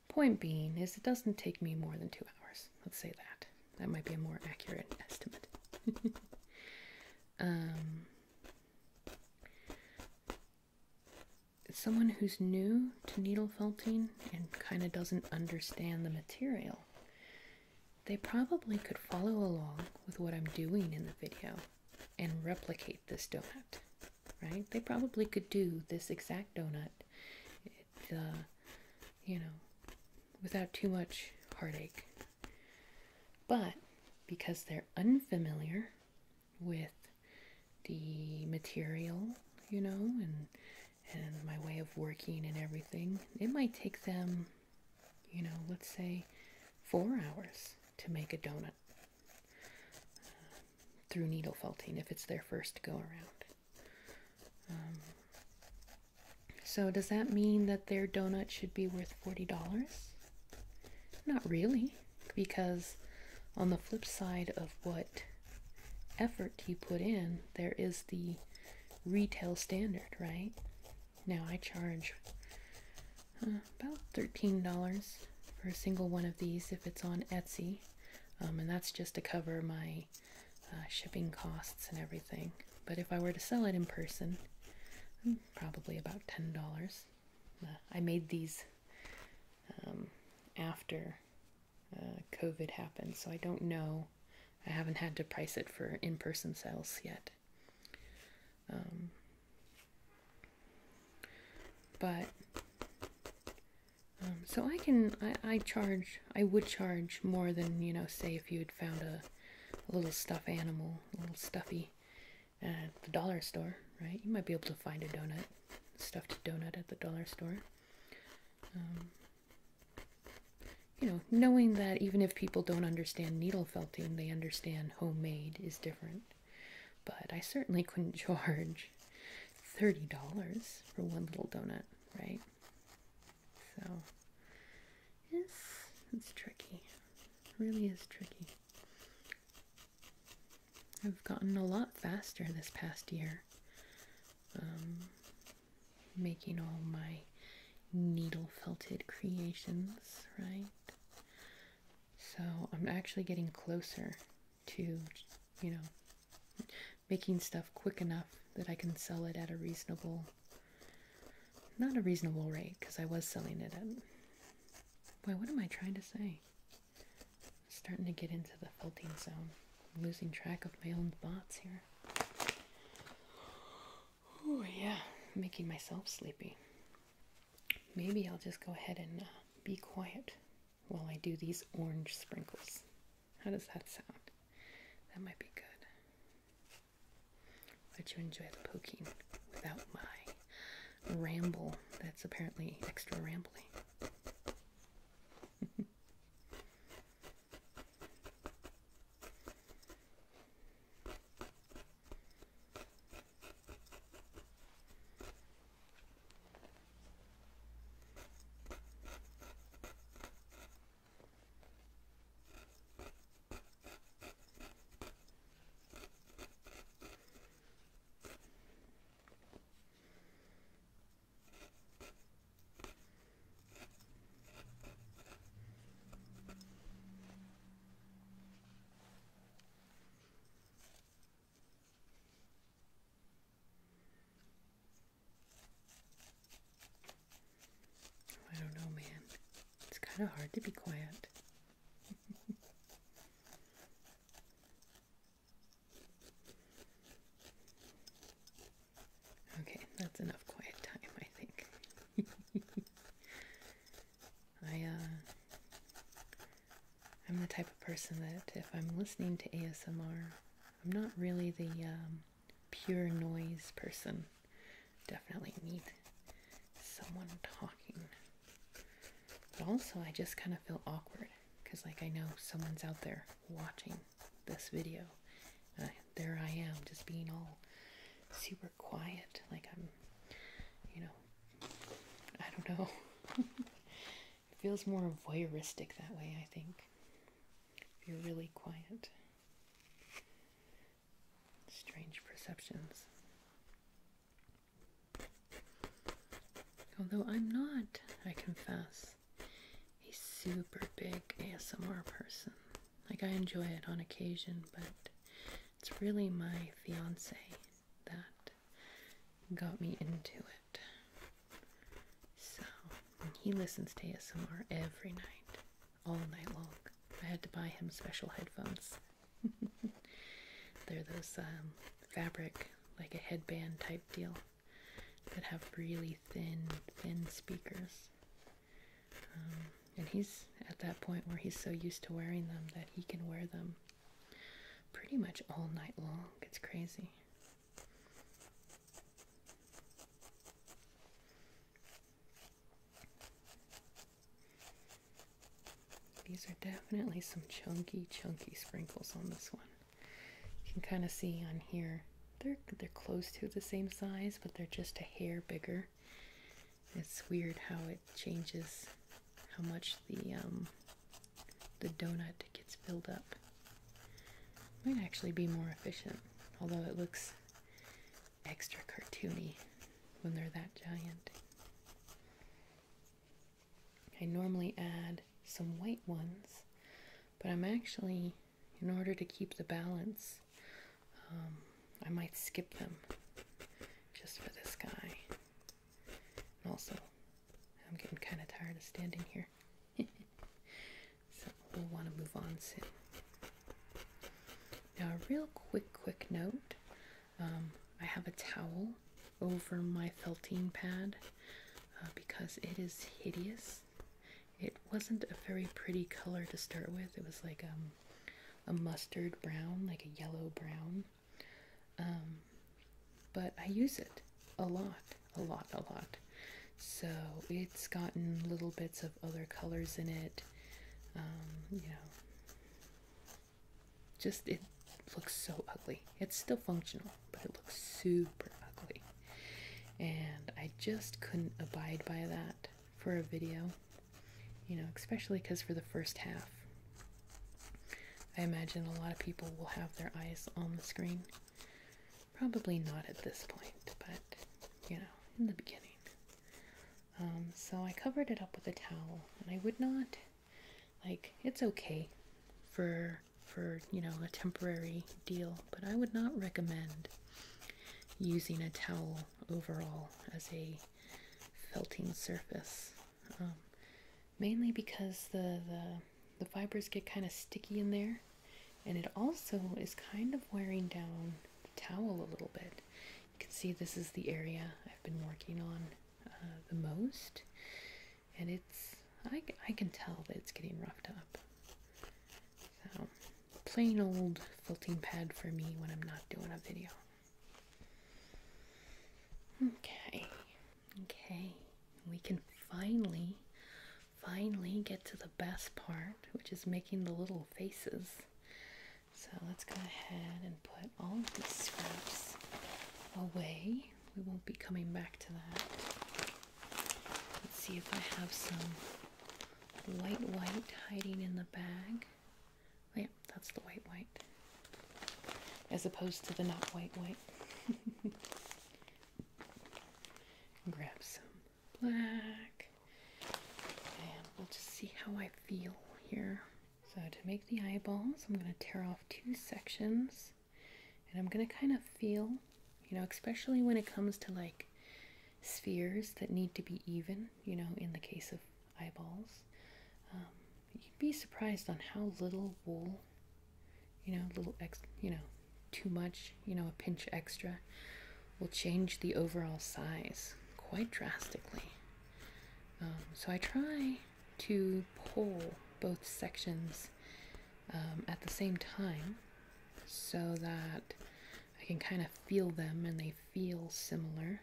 point being is it doesn't take me more than two hours. Let's say that. That might be a more accurate estimate. um, someone who's new to needle felting and kind of doesn't understand the material, they probably could follow along with what I'm doing in the video and replicate this donut, right? They probably could do this exact donut, uh, you know, without too much heartache but because they're unfamiliar with the material, you know, and and my way of working and everything, it might take them, you know, let's say 4 hours to make a donut uh, through needle felting if it's their first go around. Um, so does that mean that their donut should be worth $40? Not really, because on the flip side of what effort you put in, there is the retail standard, right? Now I charge uh, about $13 for a single one of these if it's on Etsy, um, and that's just to cover my uh, shipping costs and everything. But if I were to sell it in person, hmm, probably about $10. I made these um, after uh, COVID happened, so I don't know. I haven't had to price it for in person sales yet. Um, but um, so I can I, charge I would charge more than you know say if you had found a, little stuffed animal little stuffy at the dollar store, right? You might be able to find a donut, stuffed donut at the dollar store. Um, you know, knowing that even if people don't understand needle felting, they understand homemade is different. But I certainly couldn't charge $30 for one little donut, right? So, yes, it's tricky. really is tricky. I've gotten a lot faster this past year, um, making all my needle felted creations, right? So I'm actually getting closer to, you know, making stuff quick enough that I can sell it at a reasonable, not a reasonable rate, because I was selling it at Boy, what am I trying to say? I'm starting to get into the faulting zone. I'm losing track of my own thoughts here. Oh, yeah, making myself sleepy. Maybe I'll just go ahead and uh, be quiet while I do these orange sprinkles. How does that sound? That might be good. Let you enjoy the poking without my ramble that's apparently extra rambling. I don't know, man. It's kind of hard to be quiet okay, that's enough quiet time, I think. I, uh, I'm the type of person that if I'm listening to ASMR, I'm not really the um, pure noise person. Definitely need someone talking. But also, I just kind of feel awkward because, like, I know someone's out there watching this video. there I am, just being all super quiet. Like, I'm, you know, I don't know. it feels more voyeuristic that way, I think. If you're really quiet strange perceptions. Although I'm not, I confess, a super big ASMR person. Like, I enjoy it on occasion, but it's really my fiance that got me into it. So, he listens to ASMR every night, all night long. I had to buy him special headphones. They're those um, fabric, like a headband type deal, that have really thin, thin speakers. Um, and he's at that point where he's so used to wearing them that he can wear them pretty much all night long. It's crazy. These are definitely some chunky, chunky sprinkles on this one. You can kind of see on here, they're, they're close to the same size, but they're just a hair bigger. It's weird how it changes how much the, um, the donut gets filled up. Might actually be more efficient, although it looks extra cartoony when they're that giant. I normally add some white ones, but I'm actually, in order to keep the balance, um, I might skip them just for this guy. also, I'm getting kind of tired of standing here. so we'll want to move on soon. Now a real quick, quick note. Um, I have a towel over my felting pad uh, because it is hideous. It wasn't a very pretty color to start with. It was like um, a mustard brown, like a yellow brown. Um, but I use it a lot, a lot, a lot. So it's gotten little bits of other colors in it. you know, just it looks so ugly. It's still functional, but it looks super ugly. And I just couldn't abide by that for a video, you know, especially because for the first half, I imagine a lot of people will have their eyes on the screen. Probably not at this point, but you know, in the beginning. Um, so I covered it up with a towel, and I would not like it's okay for for you know a temporary deal, but I would not recommend using a towel overall as a felting surface. Um, mainly because the, the, the fibers get kind of sticky in there and it also is kind of wearing down the towel a little bit you can see this is the area I've been working on uh, the most, and it's I, I can tell that it's getting roughed up. So, plain old felting pad for me when I'm not doing a video. Okay, okay, we can finally, finally get to the best part, which is making the little faces. So let's go ahead and put all of these scraps away. We won't be coming back to that. Let's see if I have some white white hiding in the bag. Oh, yep, that's the white white. As opposed to the not white white. Grab some black. And we'll just see how I feel here so to make the eyeballs, I'm going to tear off two sections and I'm going to kind of feel, you know, especially when it comes to like spheres that need to be even, you know, in the case of eyeballs. Um, you'd be surprised on how little wool, you know, little ex, you know, too much, you know, a pinch extra will change the overall size quite drastically. Um, so I try to pull both sections um, at the same time so that I can kind of feel them and they feel similar.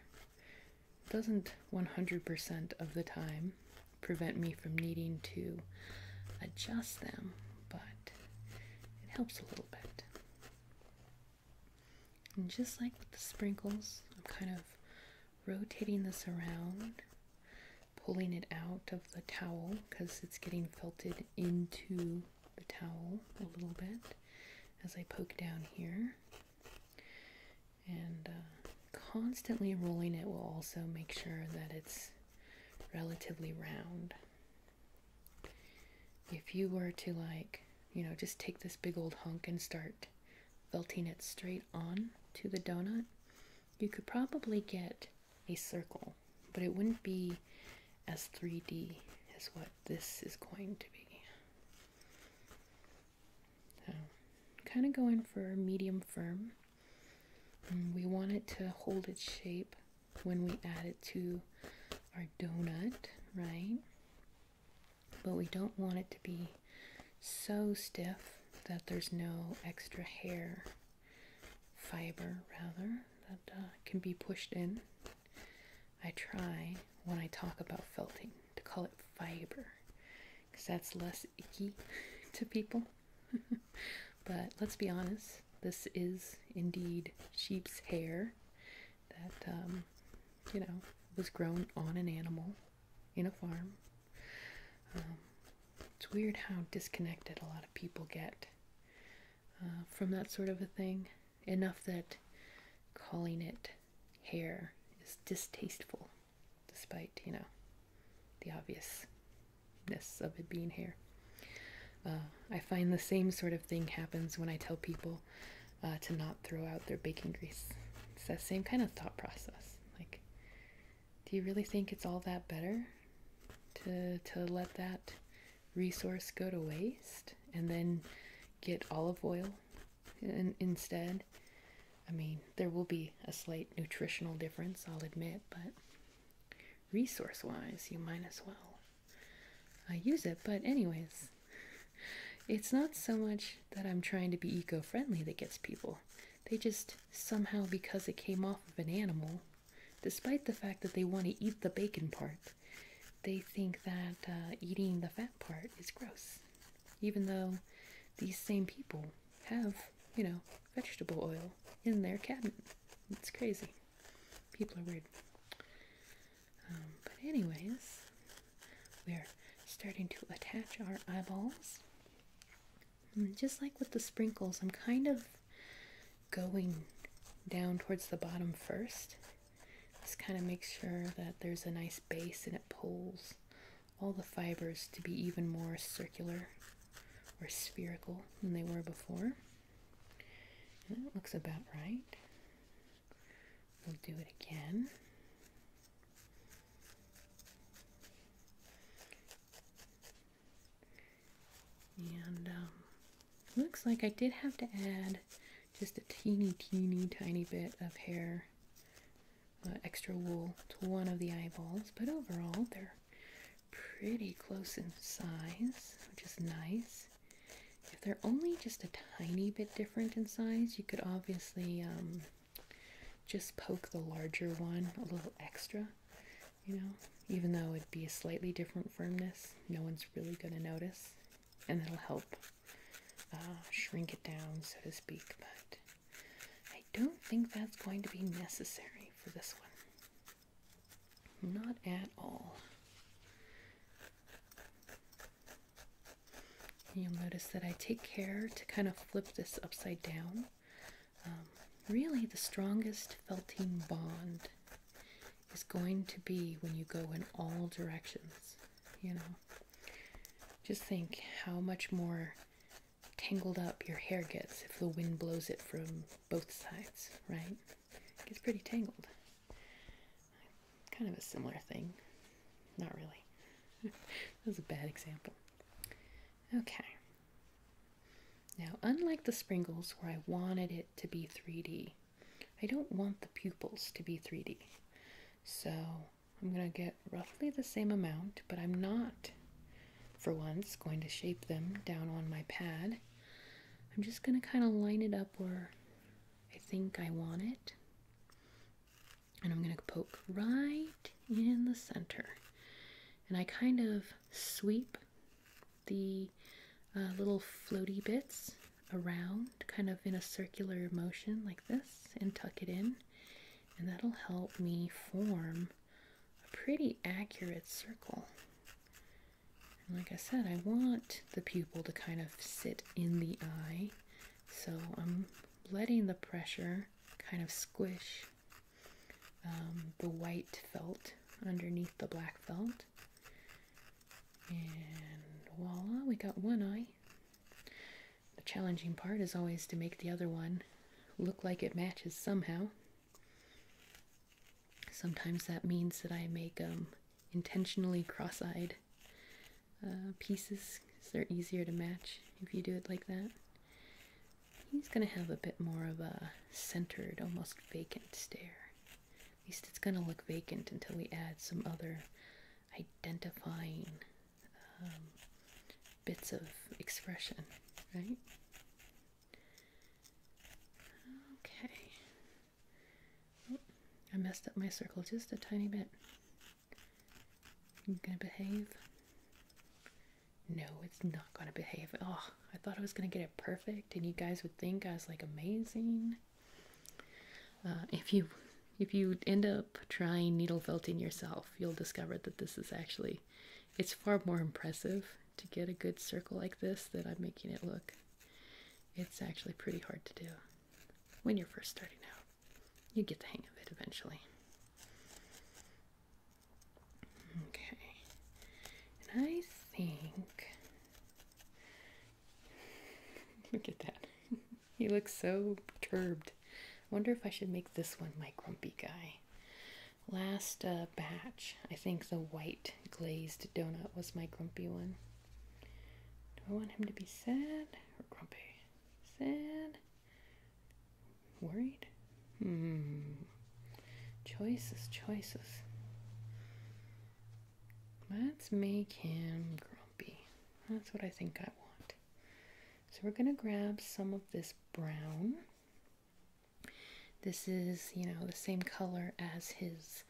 doesn't 100% of the time prevent me from needing to adjust them, but it helps a little bit. And just like with the sprinkles, I'm kind of rotating this around, pulling it out of the towel because it's getting felted into the towel a little bit as I poke down here. And uh, constantly rolling it will also make sure that it's relatively round. If you were to like you know, just take this big old hunk and start felting it straight on to the donut, you could probably get a circle, but it wouldn't be as 3D as what this is going to be. So, kind of going for medium firm. Mm, we want it to hold its shape when we add it to our donut, right? but we don't want it to be so stiff that there's no extra hair fiber rather that uh, can be pushed in. I try when I talk about felting to call it fiber because that's less icky to people. but let's be honest, this is indeed sheep's hair that um, you know was grown on an animal in a farm. Um, it's weird how disconnected a lot of people get uh, from that sort of a thing. Enough that calling it hair is distasteful, despite you know the obviousness of it being hair. Uh, I find the same sort of thing happens when I tell people uh, to not throw out their baking grease. It's that same kind of thought process. Like, do you really think it's all that better to to let that resource go to waste and then get olive oil instead? I mean, there will be a slight nutritional difference, I'll admit, but resource wise, you might as well I use it. But, anyways, it's not so much that I'm trying to be eco friendly that gets people. They just somehow, because it came off of an animal, despite the fact that they want to eat the bacon part, they think that uh, eating the fat part is gross. Even though these same people have, you know, vegetable oil in their cabinet. It's crazy. People are weird. Um, but anyways, we're starting to attach our eyeballs. Mm, just like with the sprinkles, I'm kind of going down towards the bottom first. Just kind of make sure that there's a nice base and it pulls all the fibers to be even more circular or spherical than they were before. And that looks about right. We'll do it again. And um, looks like I did have to add just a teeny, teeny, tiny bit of hair, uh, extra wool to one of the eyeballs, but overall they're pretty close in size, which is nice. If they're only just a tiny bit different in size, you could obviously um, just poke the larger one a little extra, you know, even though it'd be a slightly different firmness, no one's really going to notice, and it'll help uh, shrink it down, so to speak. But I don't think that's going to be necessary for this one. Not at all. You'll notice that I take care to kind of flip this upside down. Um, really, the strongest felting bond is going to be when you go in all directions. You know, just think how much more tangled up your hair gets if the wind blows it from both sides, right? It gets pretty tangled. Kind of a similar thing. Not really. that was a bad example. Okay. Now, unlike the sprinkles where I wanted it to be 3D, I don't want the pupils to be 3D. So I'm going to get roughly the same amount, but I'm not, for once, going to shape them down on my pad. I'm just going to kind of line it up where I think I want it. And I'm going to poke right in the center. And I kind of sweep the uh, little floaty bits around, kind of in a circular motion like this, and tuck it in. And that'll help me form a pretty accurate circle. like I said, I want the pupil to kind of sit in the eye so I'm letting the pressure kind of squish um, the white felt underneath the black felt. And voila, we got one eye. The challenging part is always to make the other one look like it matches somehow. Sometimes that means that I make them um, intentionally cross-eyed uh, pieces because they're easier to match if you do it like that. He's going to have a bit more of a centered, almost vacant stare. At least it's going to look vacant until we add some other identifying um, bits of expression, right? Okay, Oh, I messed up my circle just a tiny bit. I'm gonna behave. No, it's not gonna behave. Oh, I thought I was gonna get it perfect, and you guys would think I was like amazing. Uh, if you if you end up trying needle felting yourself, you'll discover that this is actually it's far more impressive to get a good circle like this that I'm making it look. It's actually pretty hard to do when you're first starting out. You get the hang of it eventually. Okay. And I think. Look at that. he looks so perturbed. wonder if I should make this one my grumpy guy. Last uh, batch, I think the white glazed donut was my grumpy one. Do I want him to be sad or grumpy? Sad? Worried? Hmm. Choices, choices. Let's make him grumpy. That's what I think I want. So we're going to grab some of this brown. This is, you know, the same color as his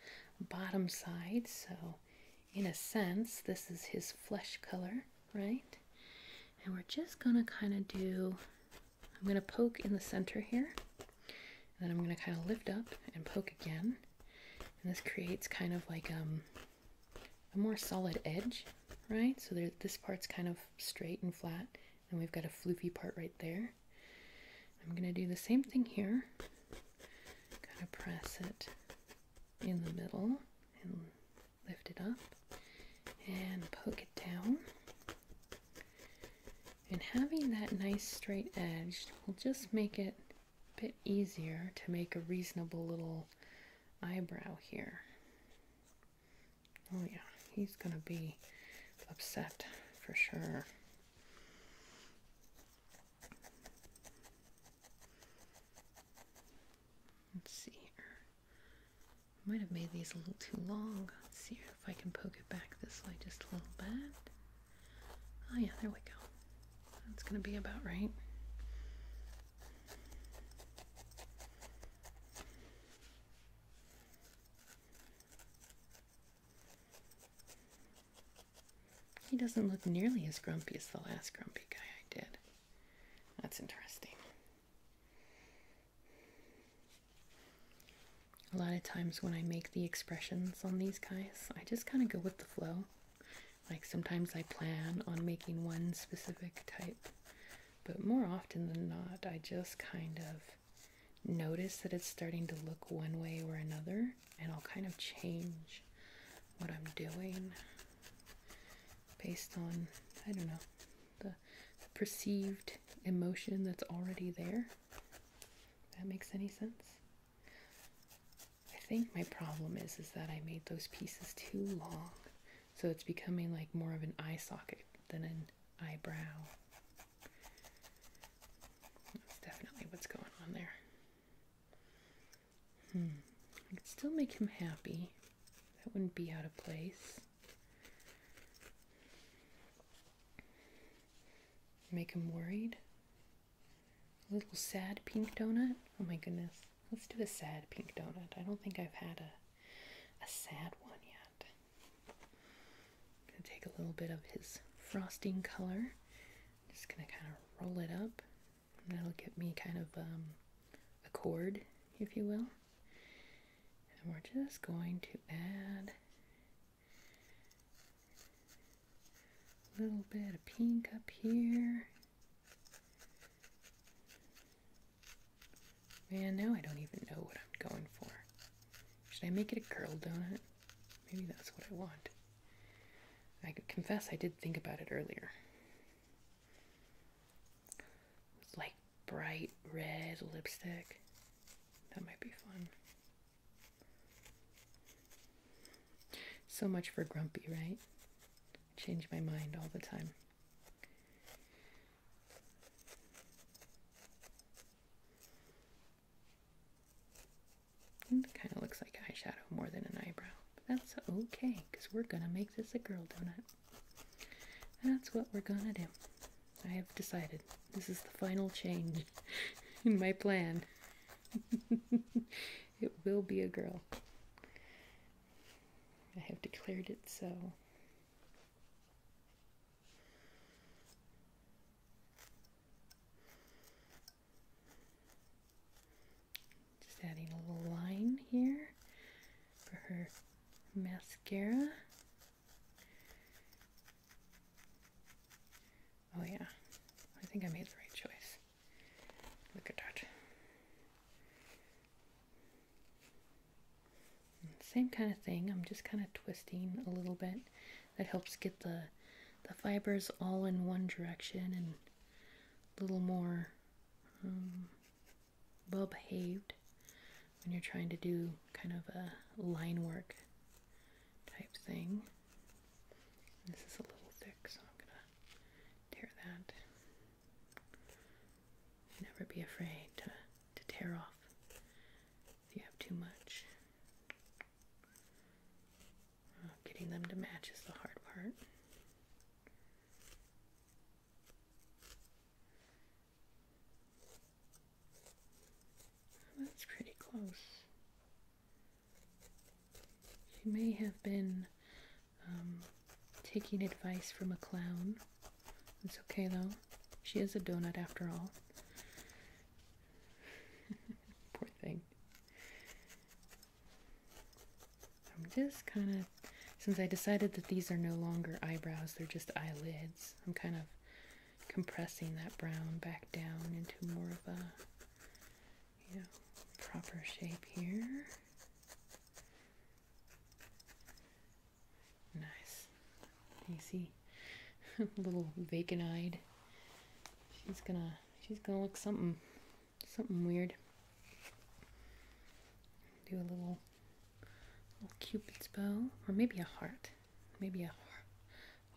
bottom side. So in a sense, this is his flesh color, right? And we're just going to kind of do, I'm going to poke in the center here. And then I'm going to kind of lift up and poke again. And this creates kind of like um, a more solid edge, right? So there, this part's kind of straight and flat. And we've got a floofy part right there. I'm going to do the same thing here. Kind of press it in the middle and lift it up and poke it down. And having that nice straight edge will just make it a bit easier to make a reasonable little eyebrow here. Oh yeah, he's gonna be upset for sure. Let's see here. Might have made these a little too long. Let's see if I can poke it back this way just a little bit. Oh yeah, there we go. That's gonna be about right. He doesn't look nearly as grumpy as the last grumpy guy I did. That's interesting. A lot of times when I make the expressions on these guys, I just kind of go with the flow. Like sometimes I plan on making one specific type, but more often than not, I just kind of notice that it's starting to look one way or another and I'll kind of change what I'm doing based on, I don't know, the, perceived emotion that's already there. that makes any sense. I think my problem is is that I made those pieces too long. So it's becoming like more of an eye socket than an eyebrow. That's definitely what's going on there. Hmm. I could still make him happy. That wouldn't be out of place. Make him worried. A little sad pink donut. Oh my goodness. Let's do a sad pink donut. I don't think I've had a a sad one yet. gonna take a little bit of his frosting color. Just gonna kind of roll it up That'll get me kind of um, a cord, if you will. And we're just going to add a little bit of pink up here. Man, now I don't even know what I'm going for. Should I make it a curl donut? Maybe that's what I want. I confess I did think about it earlier. like bright red lipstick. That might be fun. So much for grumpy, right? change my mind all the time. It kind of looks like eyeshadow more than an eyebrow. But that's okay, because we're going to make this a girl donut. That's what we're going to do. I have decided. This is the final change in my plan. it will be a girl. I have declared it so. Just adding a little line here for her mascara. Oh yeah, I think I made the right choice. Look at that. Same kind of thing, I'm just kind of twisting a little bit. That helps get the, the fibers all in one direction and a little more well um, behaved when you're trying to do kind of a line work type thing. This is a little thick, so I'm gonna tear that. Never be afraid to, to tear off if you have too much. Getting them to match is the hard part. That's pretty close. She may have been um, taking advice from a clown. It's okay though. She is a donut after all. Poor thing. I'm just kind of, since I decided that these are no longer eyebrows, they're just eyelids, I'm kind of compressing that brown back down into more of a, you know, proper shape here. Nice. You see, little vacant-eyed. She's gonna, she's gonna look something something weird. Do a little, little cupid's bow, or maybe a heart, maybe a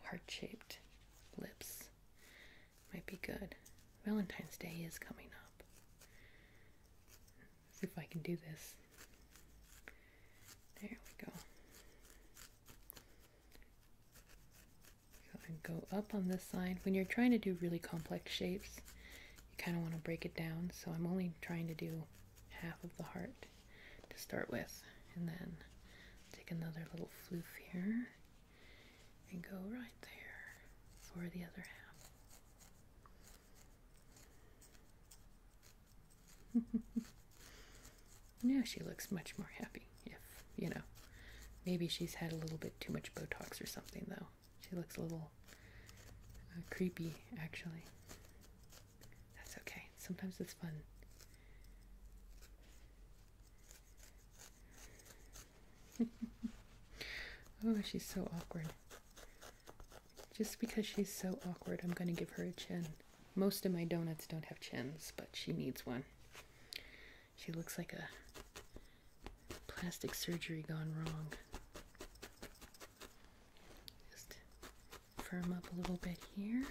heart-shaped lips might be good. Valentine's Day is coming up. see if I can do this. There we go go up on this side. When you're trying to do really complex shapes, you kind of want to break it down. So I'm only trying to do half of the heart to start with. And then take another little floof here and go right there for the other half. now she looks much more happy if you know. Maybe she's had a little bit too much Botox or something, though. She looks a little uh, creepy, actually. That's okay. Sometimes it's fun. oh, she's so awkward. Just because she's so awkward, I'm going to give her a chin. Most of my donuts don't have chins, but she needs one. She looks like a plastic surgery gone wrong. Just firm up a little bit here.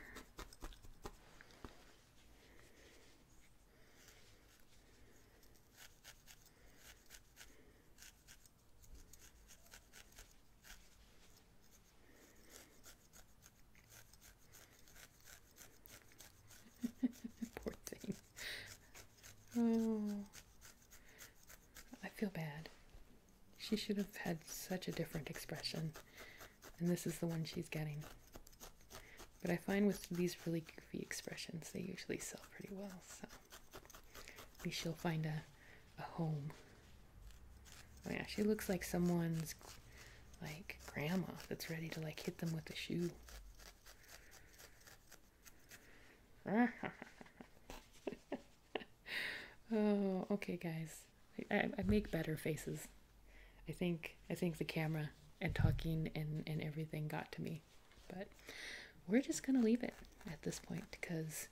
Poor thing. Oh, I feel bad. She should have had such a different expression, and this is the one she's getting. But I find with these really goofy expressions, they usually sell pretty well, so maybe she'll find a, a home. Oh yeah, she looks like someone's, like, grandma that's ready to, like, hit them with a shoe. oh, okay, guys. I, I make better faces. I think I think the camera and talking and and everything got to me, but we're just gonna leave it at this point because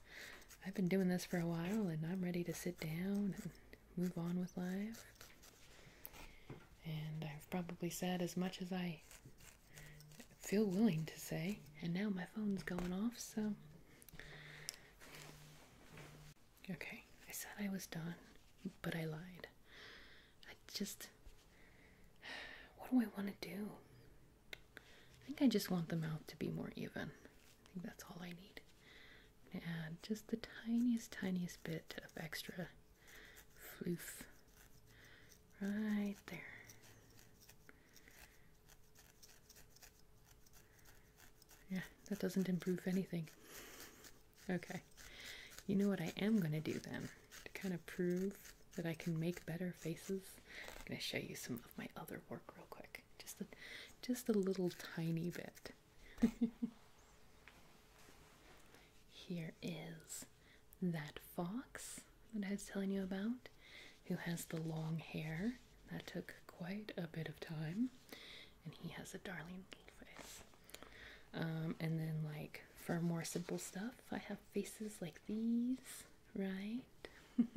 I've been doing this for a while and I'm ready to sit down and move on with life. And I've probably said as much as I feel willing to say, and now my phone's going off, so. Okay, I said I was done, but I lied. I just. What do I want to do? I think I just want the mouth to be more even. I think that's all I need. And add just the tiniest, tiniest bit of extra floof right there. Yeah, that doesn't improve anything. Okay, you know what I am going to do then? To kind of prove that I can make better faces, I'm going to show you some of my other work real quick. Just a, just a little tiny bit. here is that fox that I was telling you about, who has the long hair. That took quite a bit of time, and he has a darling little face. Um, and then, like, for more simple stuff, I have faces like these, right?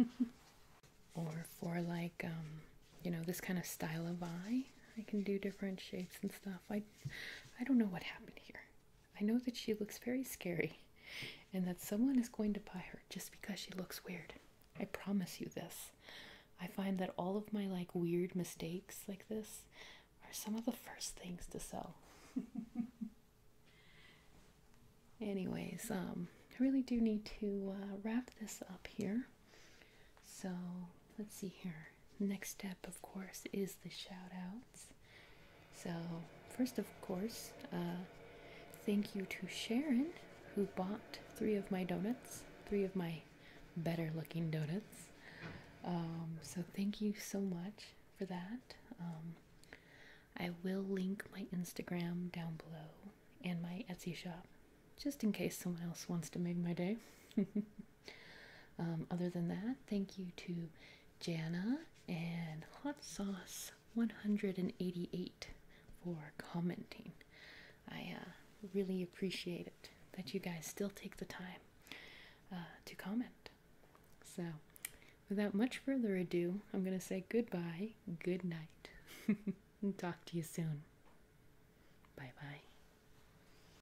or for, like, um, you know, this kind of style of eye, I can do different shapes and stuff. I I don't know what happened here. I know that she looks very scary and that someone is going to buy her just because she looks weird. I promise you this. I find that all of my like weird mistakes like this are some of the first things to sell. Anyways, um, I really do need to uh, wrap this up here. So let's see here. Next step, of course, is the shout outs. So, first, of course, uh, thank you to Sharon who bought three of my donuts, three of my better looking donuts. Um, so, thank you so much for that. Um, I will link my Instagram down below and my Etsy shop just in case someone else wants to make my day. Um, other than that, thank you to Jana and Hot Sauce 188 for commenting. I uh, really appreciate it that you guys still take the time uh, to comment. So, without much further ado, I'm going to say goodbye, good night, and talk to you soon. Bye bye.